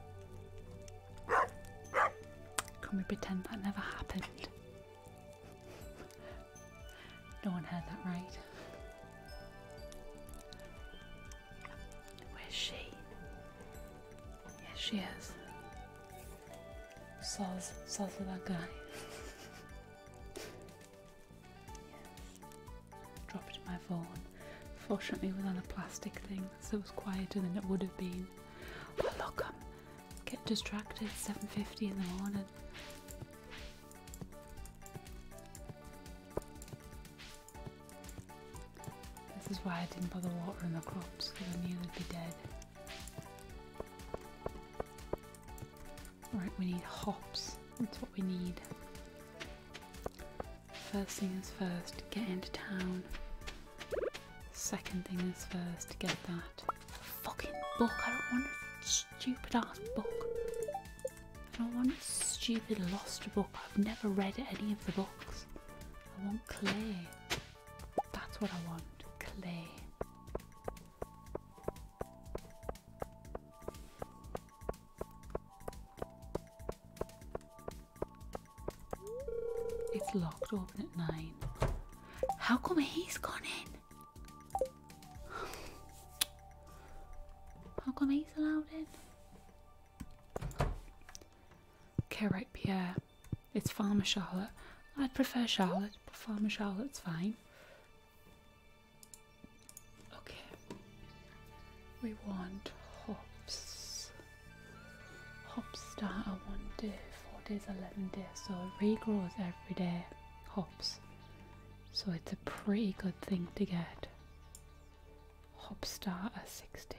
Can we pretend that never happened? no one heard that right. Where's she? Yes, she is. Soz, soz that guy. Dropped my phone. Fortunately, it was on a plastic thing, so it was quieter than it would have been. But oh, look, I am um, getting distracted. 7:50 in the morning. This is why I didn't bother watering the crops because I knew they'd be dead. Right, we need hops. That's what we need. First thing is first, get into town. Second thing is first, get that fucking book. I don't want a stupid ass book. I don't want a stupid lost book. I've never read any of the books. I want clay. That's what I want, clay. It's locked, open at nine. How come he's gone in? How come he's allowed in? Okay, right, Pierre. It's Farmer Charlotte. I'd prefer Charlotte, but Farmer Charlotte's fine. Okay. We want hops. Hop starter one day, four days, eleven days, so it regrows every day hops. So it's a pretty good thing to get. Hop starter 60.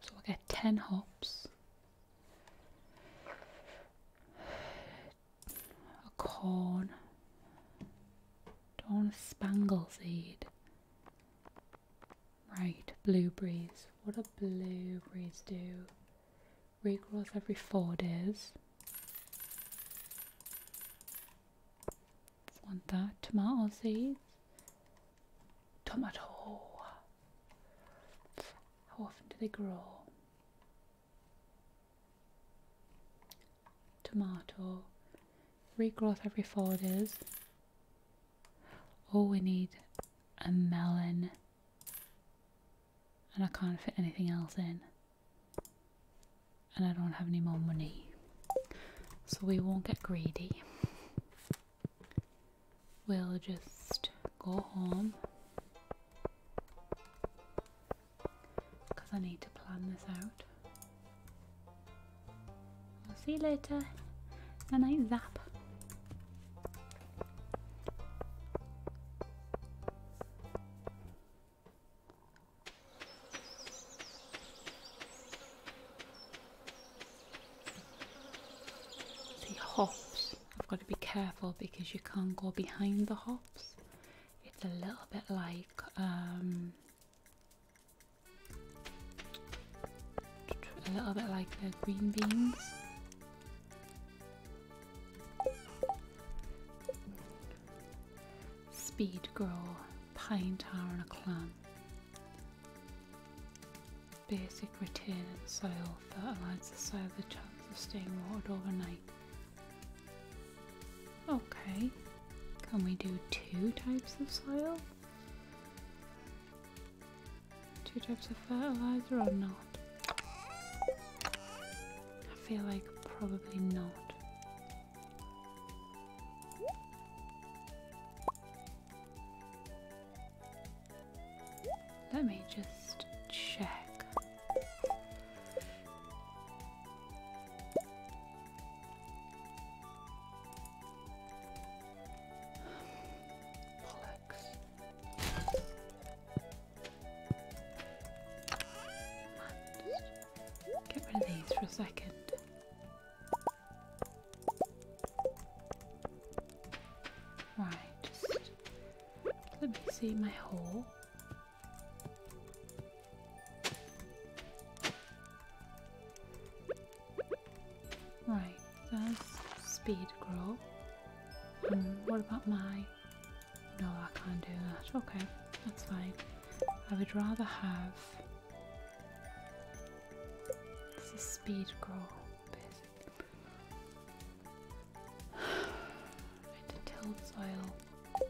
So we'll get 10 hops. A corn. Dawn of Spangle Seed. Right, blueberries. What do blueberries do? Regrow every four days. Want that. Tomato seeds. Tomato. How often do they grow? tomato, regrowth every four days. All we need a melon. And I can't fit anything else in. And I don't have any more money. So we won't get greedy. We'll just go home because I need to plan this out. I'll see you later. Good night, Zap. See, hops. I've got to be careful because you can't go behind the hops. It's a little bit like um, a little bit like green beans. Speed grow, pine tar and a clamp. Basic retaining soil that allows the soil the chance of staying watered overnight. Okay. Can we do two types of soil? Two types of fertilizer or not? I feel like probably not. Let me just check. Bollocks. Get rid of these for a second. Right, let me see my hole. Right, that's speed grow. Hmm, what about my... No, I can't do that. Okay, that's fine. I would rather have... This is speed grow, basically. soil.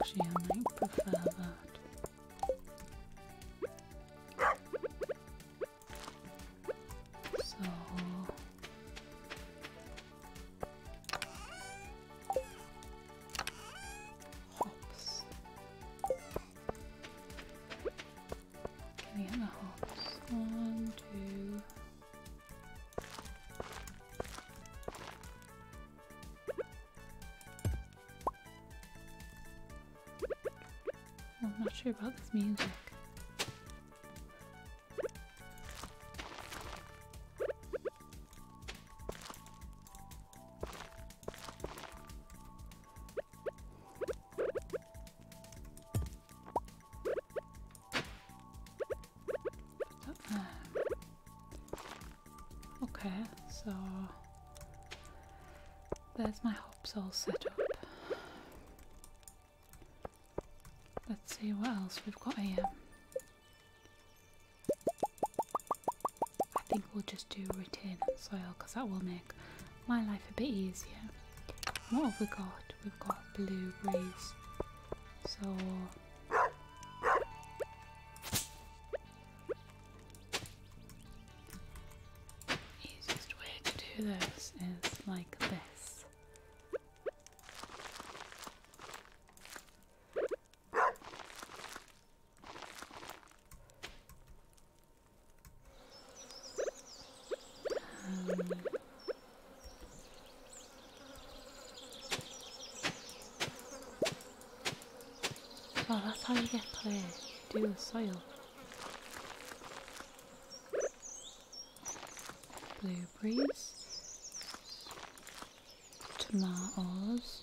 Actually, I might prefer that. So hops. we get hops? One, two, I'm not sure about this music. Okay, so there's my hops all set up. Let's see what else we've got here. I think we'll just do retain soil because that will make my life a bit easier. What have we got? We've got blueberries. So Easiest way to do this is like this. Um, Oh, that's how you get to do the soil. Blueberries. Tomatoes.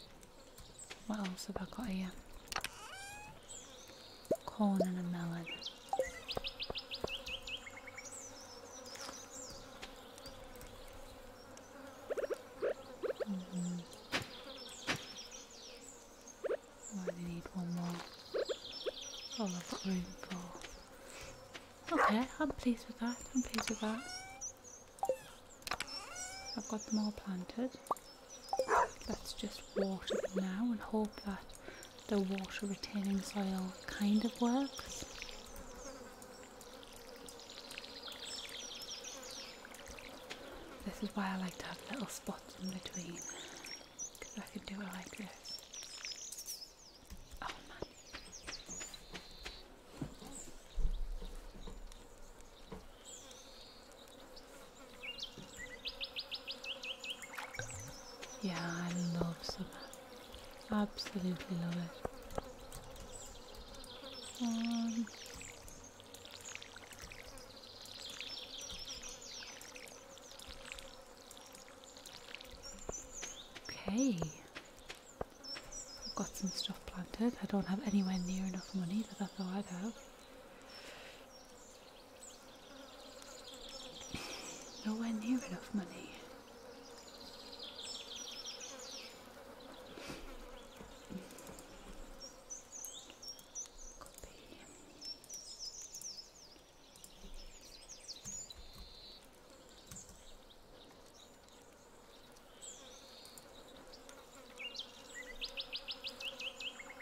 What else have I got here? Corn and a melon. Mm-hmm. I need one more. Oh, I've room for. Okay, I'm pleased with that. I'm pleased with that. I've got them all planted. Let's just water them now and hope that the water retaining soil kind of works. This is why I like to have little spots in between because I can do it like this. Oh, yeah, I love summer. Absolutely love it. Um, okay. I've got some stuff planted. I don't have anywhere near enough money that I thought I'd have. Nowhere near enough money.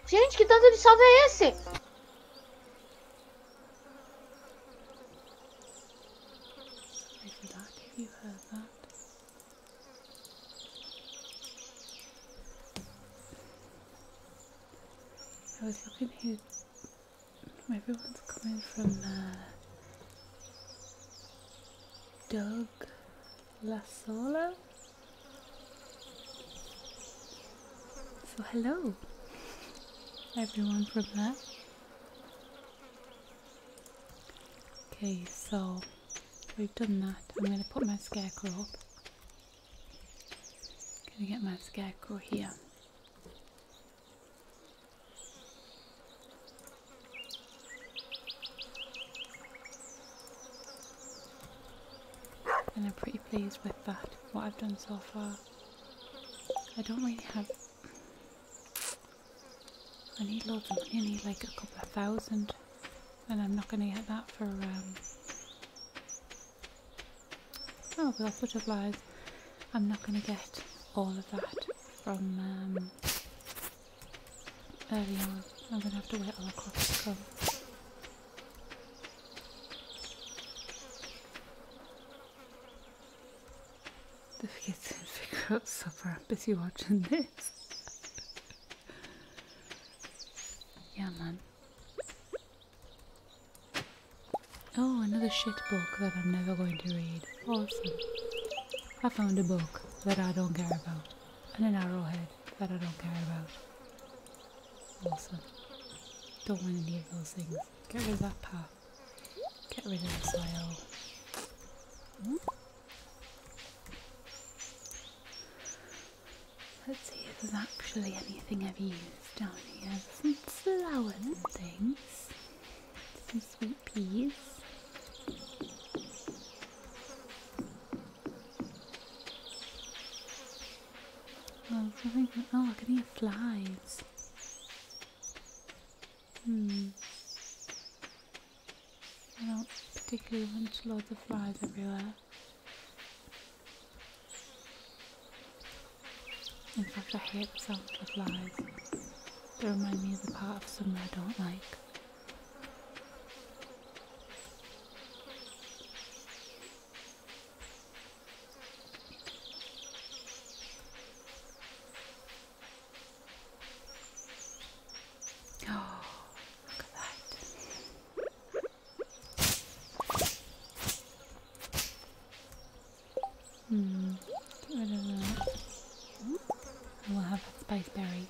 Gente, que tanto de salve é esse? Sorry that if you heard that. I was looking who everyone's coming from uh, Doug Lasola. So hello everyone from there. Okay, so we've done that. I'm going to put my scarecrow up. Going to get my scarecrow here. And I'm pretty pleased with that, what I've done so far. I don't really have I need loads I need like a couple of thousand and I'm not going to get that for, um, oh, glass butterflies. I'm not going to get all of that from um, early on. I'm going to have to wait all across to come. Don't forget to figure out supper. I'm busy watching this. yeah, man. Oh, another shit book that I'm never going to read. Awesome. I found a book that I don't care about, and an arrowhead that I don't care about. Awesome. Don't want any of those things. Get rid of that path. Get rid of the soil. Let's see if there's actually anything I've used down here. Some flowers things. Some sweet peas. Oh, something, oh look at these flies. Hmm. I don't particularly want to load the flies everywhere. In fact, I hate the sound of flies. They remind me of the part of summer I don't like. Oh, look at that. Hmm, get rid of that. we'll have a spice berry.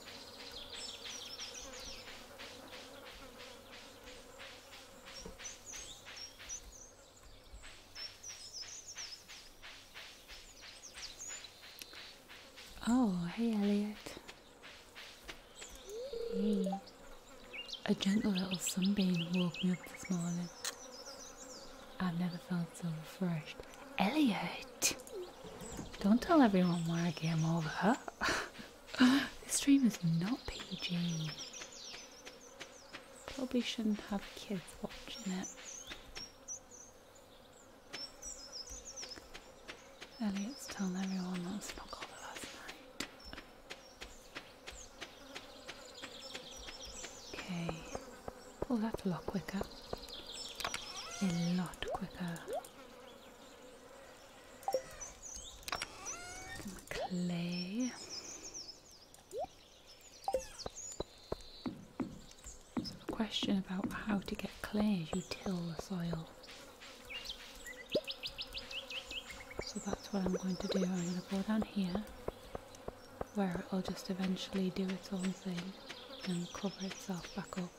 Oh, hey Elliot. A gentle little sunbeam woke me up this morning. I've never felt so refreshed. Elliot! Don't tell everyone why I came over. this dream is not PG. Probably shouldn't have kids watching it. Elliot's telling everyone that Smokola last night. Okay, pull that a lot quicker. A lot quicker. Clay. So a question about how to get clay as you till the soil. So that's what I'm going to do. I'm going to go down here where it'll just eventually do its own thing and cover itself back up.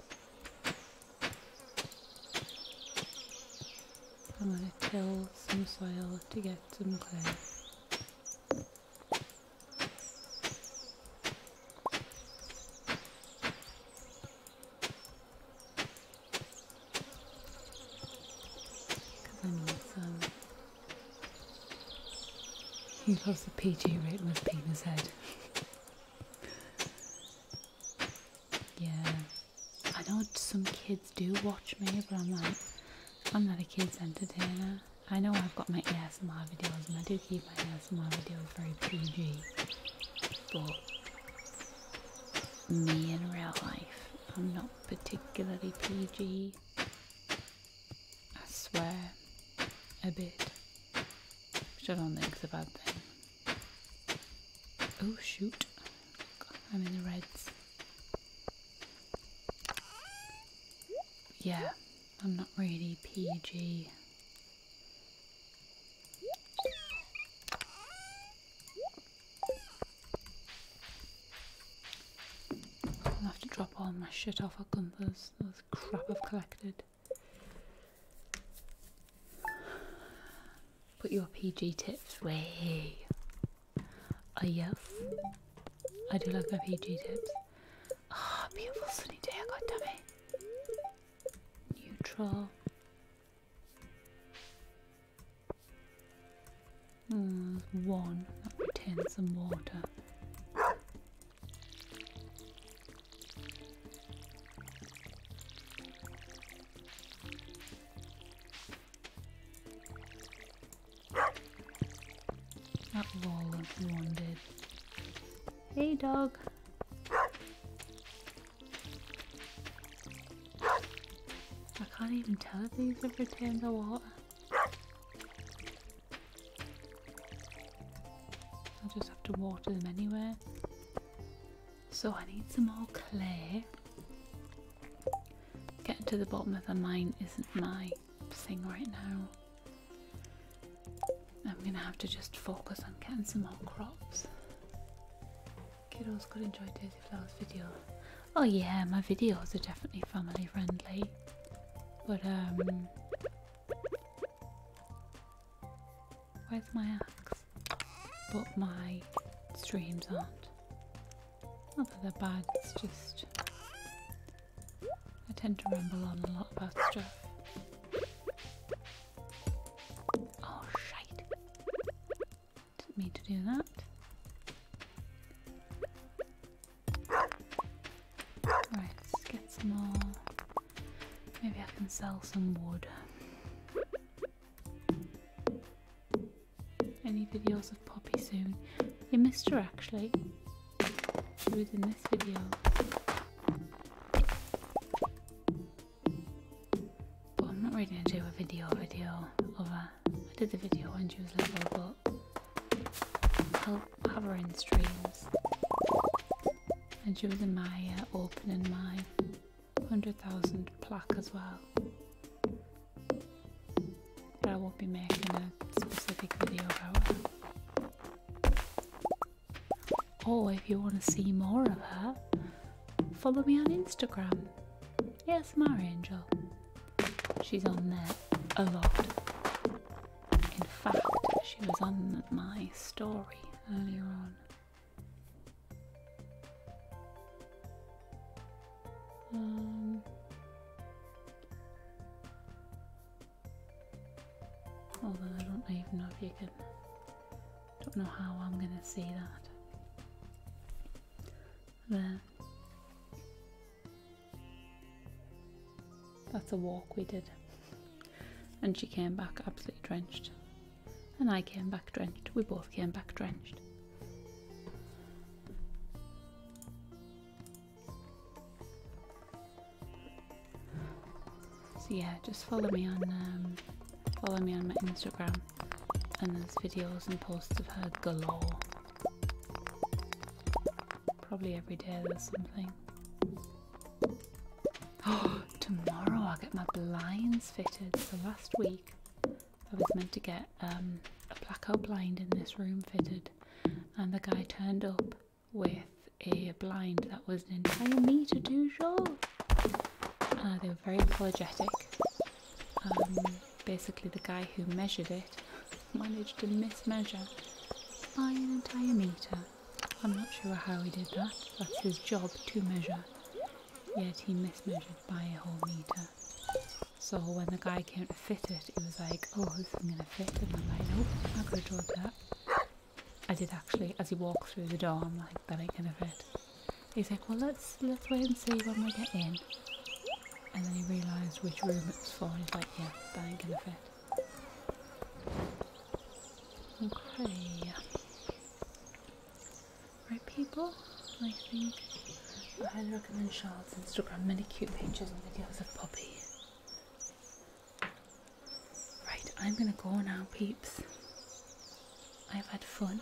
I'm going to till some soil to get some clay. I need some. He loves the PG written with penis head. yeah. I know some kids do watch me, but I'm like, I'm not a kids entertainer. I know I've got my ASMR videos and I do keep my ASMR videos very PG, but me in real life, I'm not particularly PG. I swear a bit, which I don't think is a bad thing. Oh shoot, I'm in the reds. Yeah, I'm not really PG. i have to drop all my shit off at Gunther's, this crap I've collected. Put your PG tips away. Oh yes, I do like my PG tips. Ah, beautiful sunny day, god damn it. Neutral. Hmm, one that retains some water. That wall of one did. Hey, dog. I can't even tell if these have for Tams or I'll just have to water them anyway. So I need some more clay. Getting to the bottom of the mine isn't mine thing right now. I'm gonna have to just focus on getting some more crops. Kiddos could enjoy Daisy Flowers video. Oh yeah, my videos are definitely family friendly. But um Where's my axe? But my streams aren't. Not that they're bad, it's just I tend to ramble on a lot about stuff. Oh, shite. Didn't mean to do that. Right, let's get some more. Maybe I can sell some wood. Any videos of Poppy soon? You missed her actually within this video. But I'm not really going to do a video video of I did the video when she was little, but I'll have help in streams. And she was in my uh, opening my 100,000 plaque as well. But I won't be making a specific video about or oh, if you want to see more of her, follow me on Instagram. Yes, my angel. She's on there a lot. In fact, she was on my story earlier on. Um, Although I don't even know if you can. Don't know how I'm gonna see that. There. That's a walk we did. And she came back absolutely drenched. And I came back drenched. We both came back drenched. So yeah, just follow me on um, follow me on my Instagram, and there's videos and posts of her galore. Probably every day there's something. Oh, tomorrow I'll get my blinds fitted. So last week I was meant to get um, a blackout blind in this room fitted, and the guy turned up with a blind that was an entire metre too short. Uh, they were very apologetic. Um, basically, the guy who measured it managed to mismeasure by an entire metre. I'm not sure how he did that, that's his job to measure. Yet he mismeasured by a whole metre. So when the guy came to fit it, he was like, oh, this is going to fit. And my am Oh, nope, I could have drawn that. I did actually, as he walked through the door, I'm like, that ain't gonna fit. He's like, well, let's let's wait and see when we get in. And then he realised which room it was for. He's like, yeah, that ain't gonna fit. Okay. Right, people. I think I highly recommend Charlotte's Instagram. Many cute pictures and videos of puppies. Right, I'm gonna go now, peeps. I've had fun.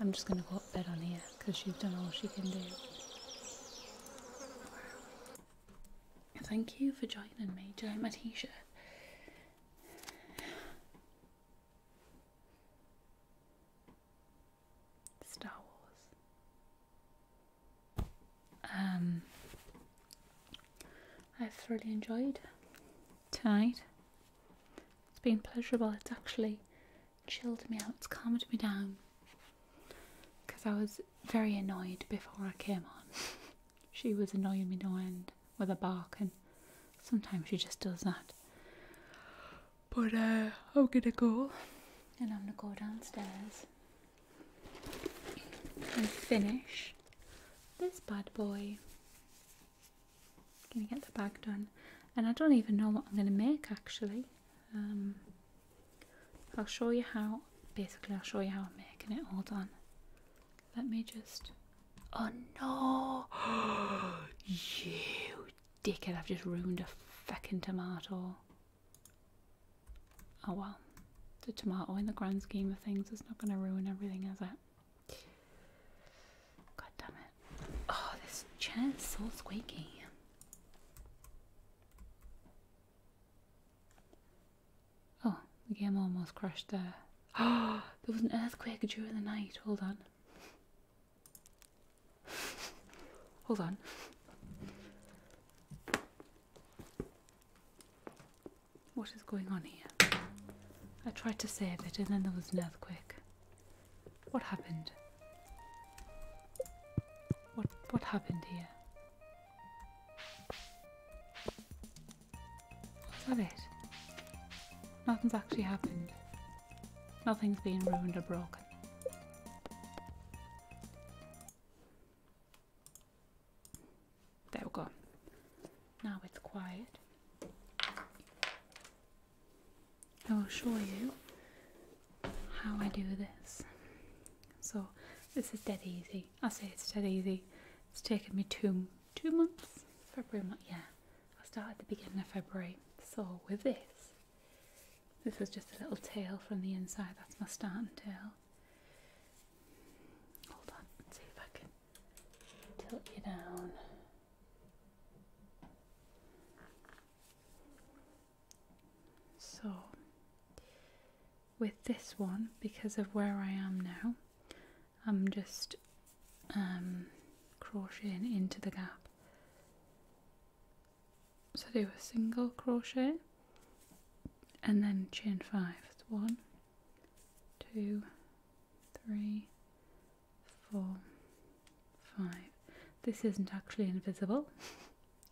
I'm just gonna go up bed on here because she's done all she can do. Thank you for joining me. Do you my t Star Wars. Um, I've thoroughly enjoyed tonight. It's been pleasurable. It's actually chilled me out. It's calmed me down because I was very annoyed before I came on. she was annoying me no end with a bark, and sometimes she just does that. But uh, I'm gonna go, and I'm gonna go downstairs and finish this bad boy. Gonna get the bag done, and I don't even know what I'm gonna make actually. Um, I'll show you how. Basically, I'll show you how I'm making it. all done. Let me just. Oh no! you dickhead! I've just ruined a fucking tomato. Oh well, the tomato in the grand scheme of things is not going to ruin everything, is it? God damn it. Oh, this chair's so squeaky. Oh, the game almost crashed there. Oh, there was an earthquake during the night. Hold on. Hold on. What is going on here? I tried to save it and then there was an earthquake. What happened? What what happened here? that it? Nothing's actually happened. Nothing's been ruined or broken. There we go. Now it's quiet. I will show you how I do this. So this is dead easy. I say it's dead easy. It's taken me two two months. February month, yeah. I started at the beginning of February. So with this, this was just a little tail from the inside. That's my starting tail. Hold on, let's see if I can tilt you down. So, with this one, because of where I am now, I'm just um, crocheting into the gap. So, do a single crochet and then chain five. one, two, three, four, five. This isn't actually invisible,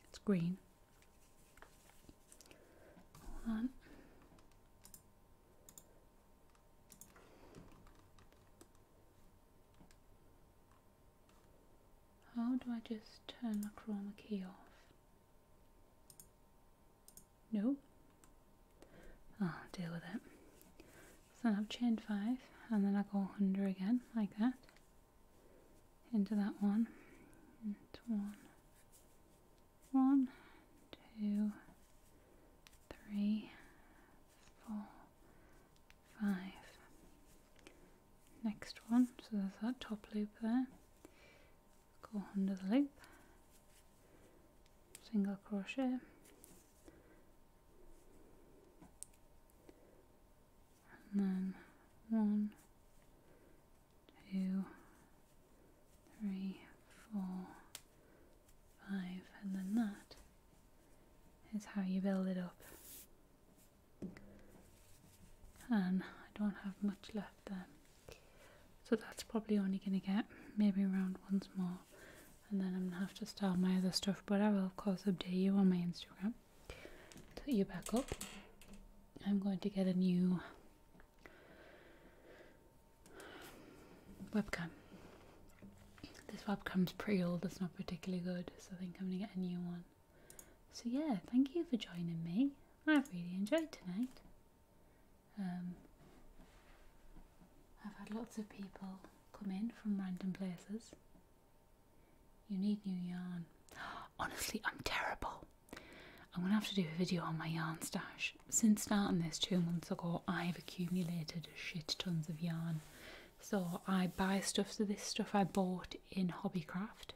it's green. Hold on. How do I just turn the chroma key off? Nope. I'll deal with it. So I've chained five and then I go under again like that into that one next one so there's that top loop there go under the loop single crochet and then one two three four five and then that is how you build it up and I don't have much left left um, So that's probably only going to get maybe around once more. And then I'm going to have to start my other stuff. But I will, of course, update you on my Instagram. Put you back up. I'm going to get a new webcam. This webcam's pretty old, it's not particularly good, so I think I'm going to get a new one. So, yeah, thank you for joining me. I've really enjoyed tonight. Um, I've had lots of people come in from random places. You need new yarn. Honestly, I'm terrible. I'm going to have to do a video on my yarn stash. Since starting this two months ago, I've accumulated shit tons of yarn. So I buy stuff, so this stuff I bought in Hobbycraft,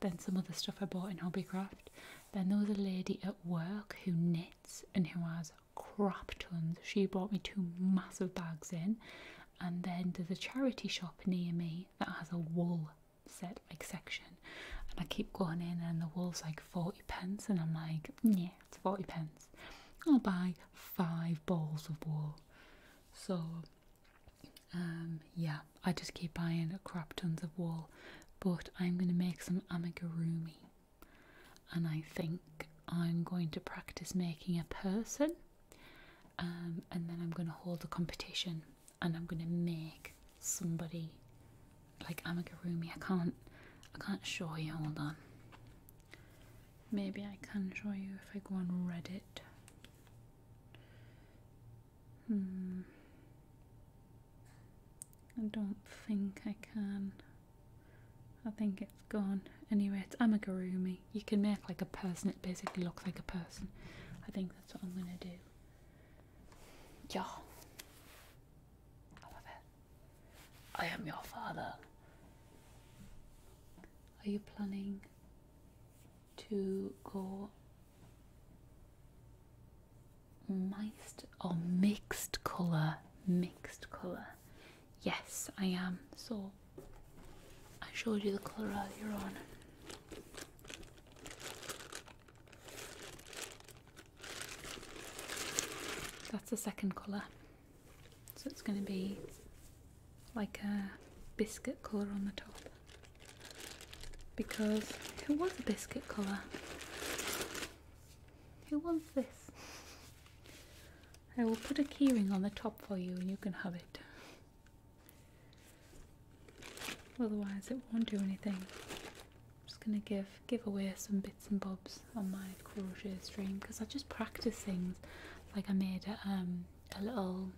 then some other stuff I bought in Hobbycraft, then there was a lady at work who knits and who has crap tons. She brought me two massive bags in. And then there's a charity shop near me that has a wool set like section. And I keep going in and the wool's like 40 pence and I'm like, yeah, it's 40 pence. I'll buy five balls of wool. So um, yeah, I just keep buying crap tons of wool but I'm going to make some amigurumi and I think I'm going to practice making a person um, and then I'm going to hold a competition and I'm going to make somebody like amigurumi. I can't I can't show you, hold on. Maybe I can show you if I go on Reddit. Hmm. I don't think I can. I think it's gone. Anyway, it's amigurumi. You can make like a person. It basically looks like a person. I think that's what I'm going to do. Yeah. I love it. I am your father. Are you planning to go Mixed or mixed colour. Mixed colour. Yes, I am. So I showed you the colour earlier on. That's the second colour. So it's going to be like a biscuit colour on the top because who wants a biscuit colour? Who wants this? I will put a keyring on the top for you and you can have it. Otherwise it won't do anything. I'm just gonna give give away some bits and bobs on my crochet stream because I just practice things. Like I made a, um, a little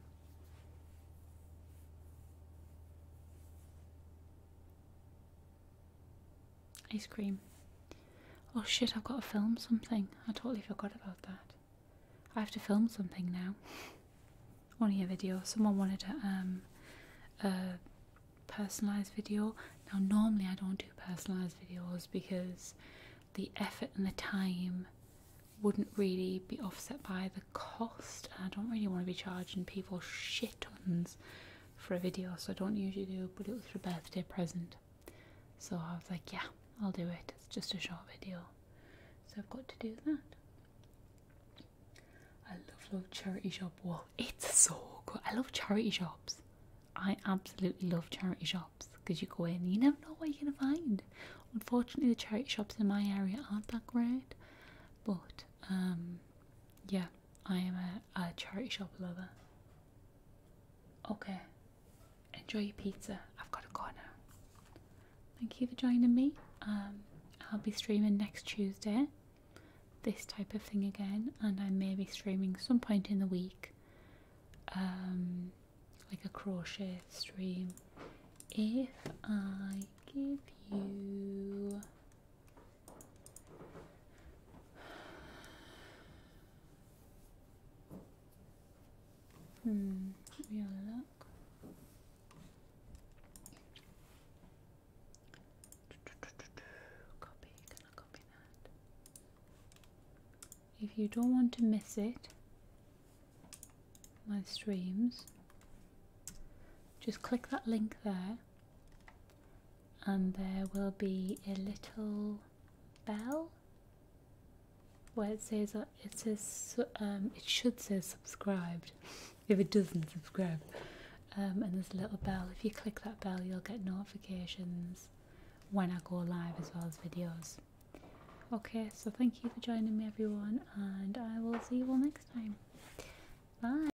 Ice cream. Oh shit, I've got to film something. I totally forgot about that. I have to film something now. Only a video. Someone wanted a, um, a personalised video. Now, normally I don't do personalised videos because the effort and the time wouldn't really be offset by the cost. And I don't really want to be charging people shit tons for a video, so I don't usually do, but it was her birthday present. So I was like, yeah, I'll do it. It's just a short video. So I've got to do that. I love, love charity shop. Whoa, it's so good. I love charity shops. I absolutely love charity shops because you go in you never know what you're going to find. Unfortunately, the charity shops in my area aren't that great, but um, yeah, I am a, a charity shop lover. Okay, enjoy your pizza. I've got a corner. Thank you for joining me. Um, I'll be streaming next Tuesday, this type of thing again, and I may be streaming some point in the week, um, like a crochet stream. If I give you Hmm, let If you don't want to miss it, my streams, just click that link there and there will be a little bell where it says uh, it says um, it should say subscribed if it doesn't subscribe um, and there's a little bell if you click that bell you'll get notifications when I go live as well as videos okay so thank you for joining me everyone and I will see you all next time bye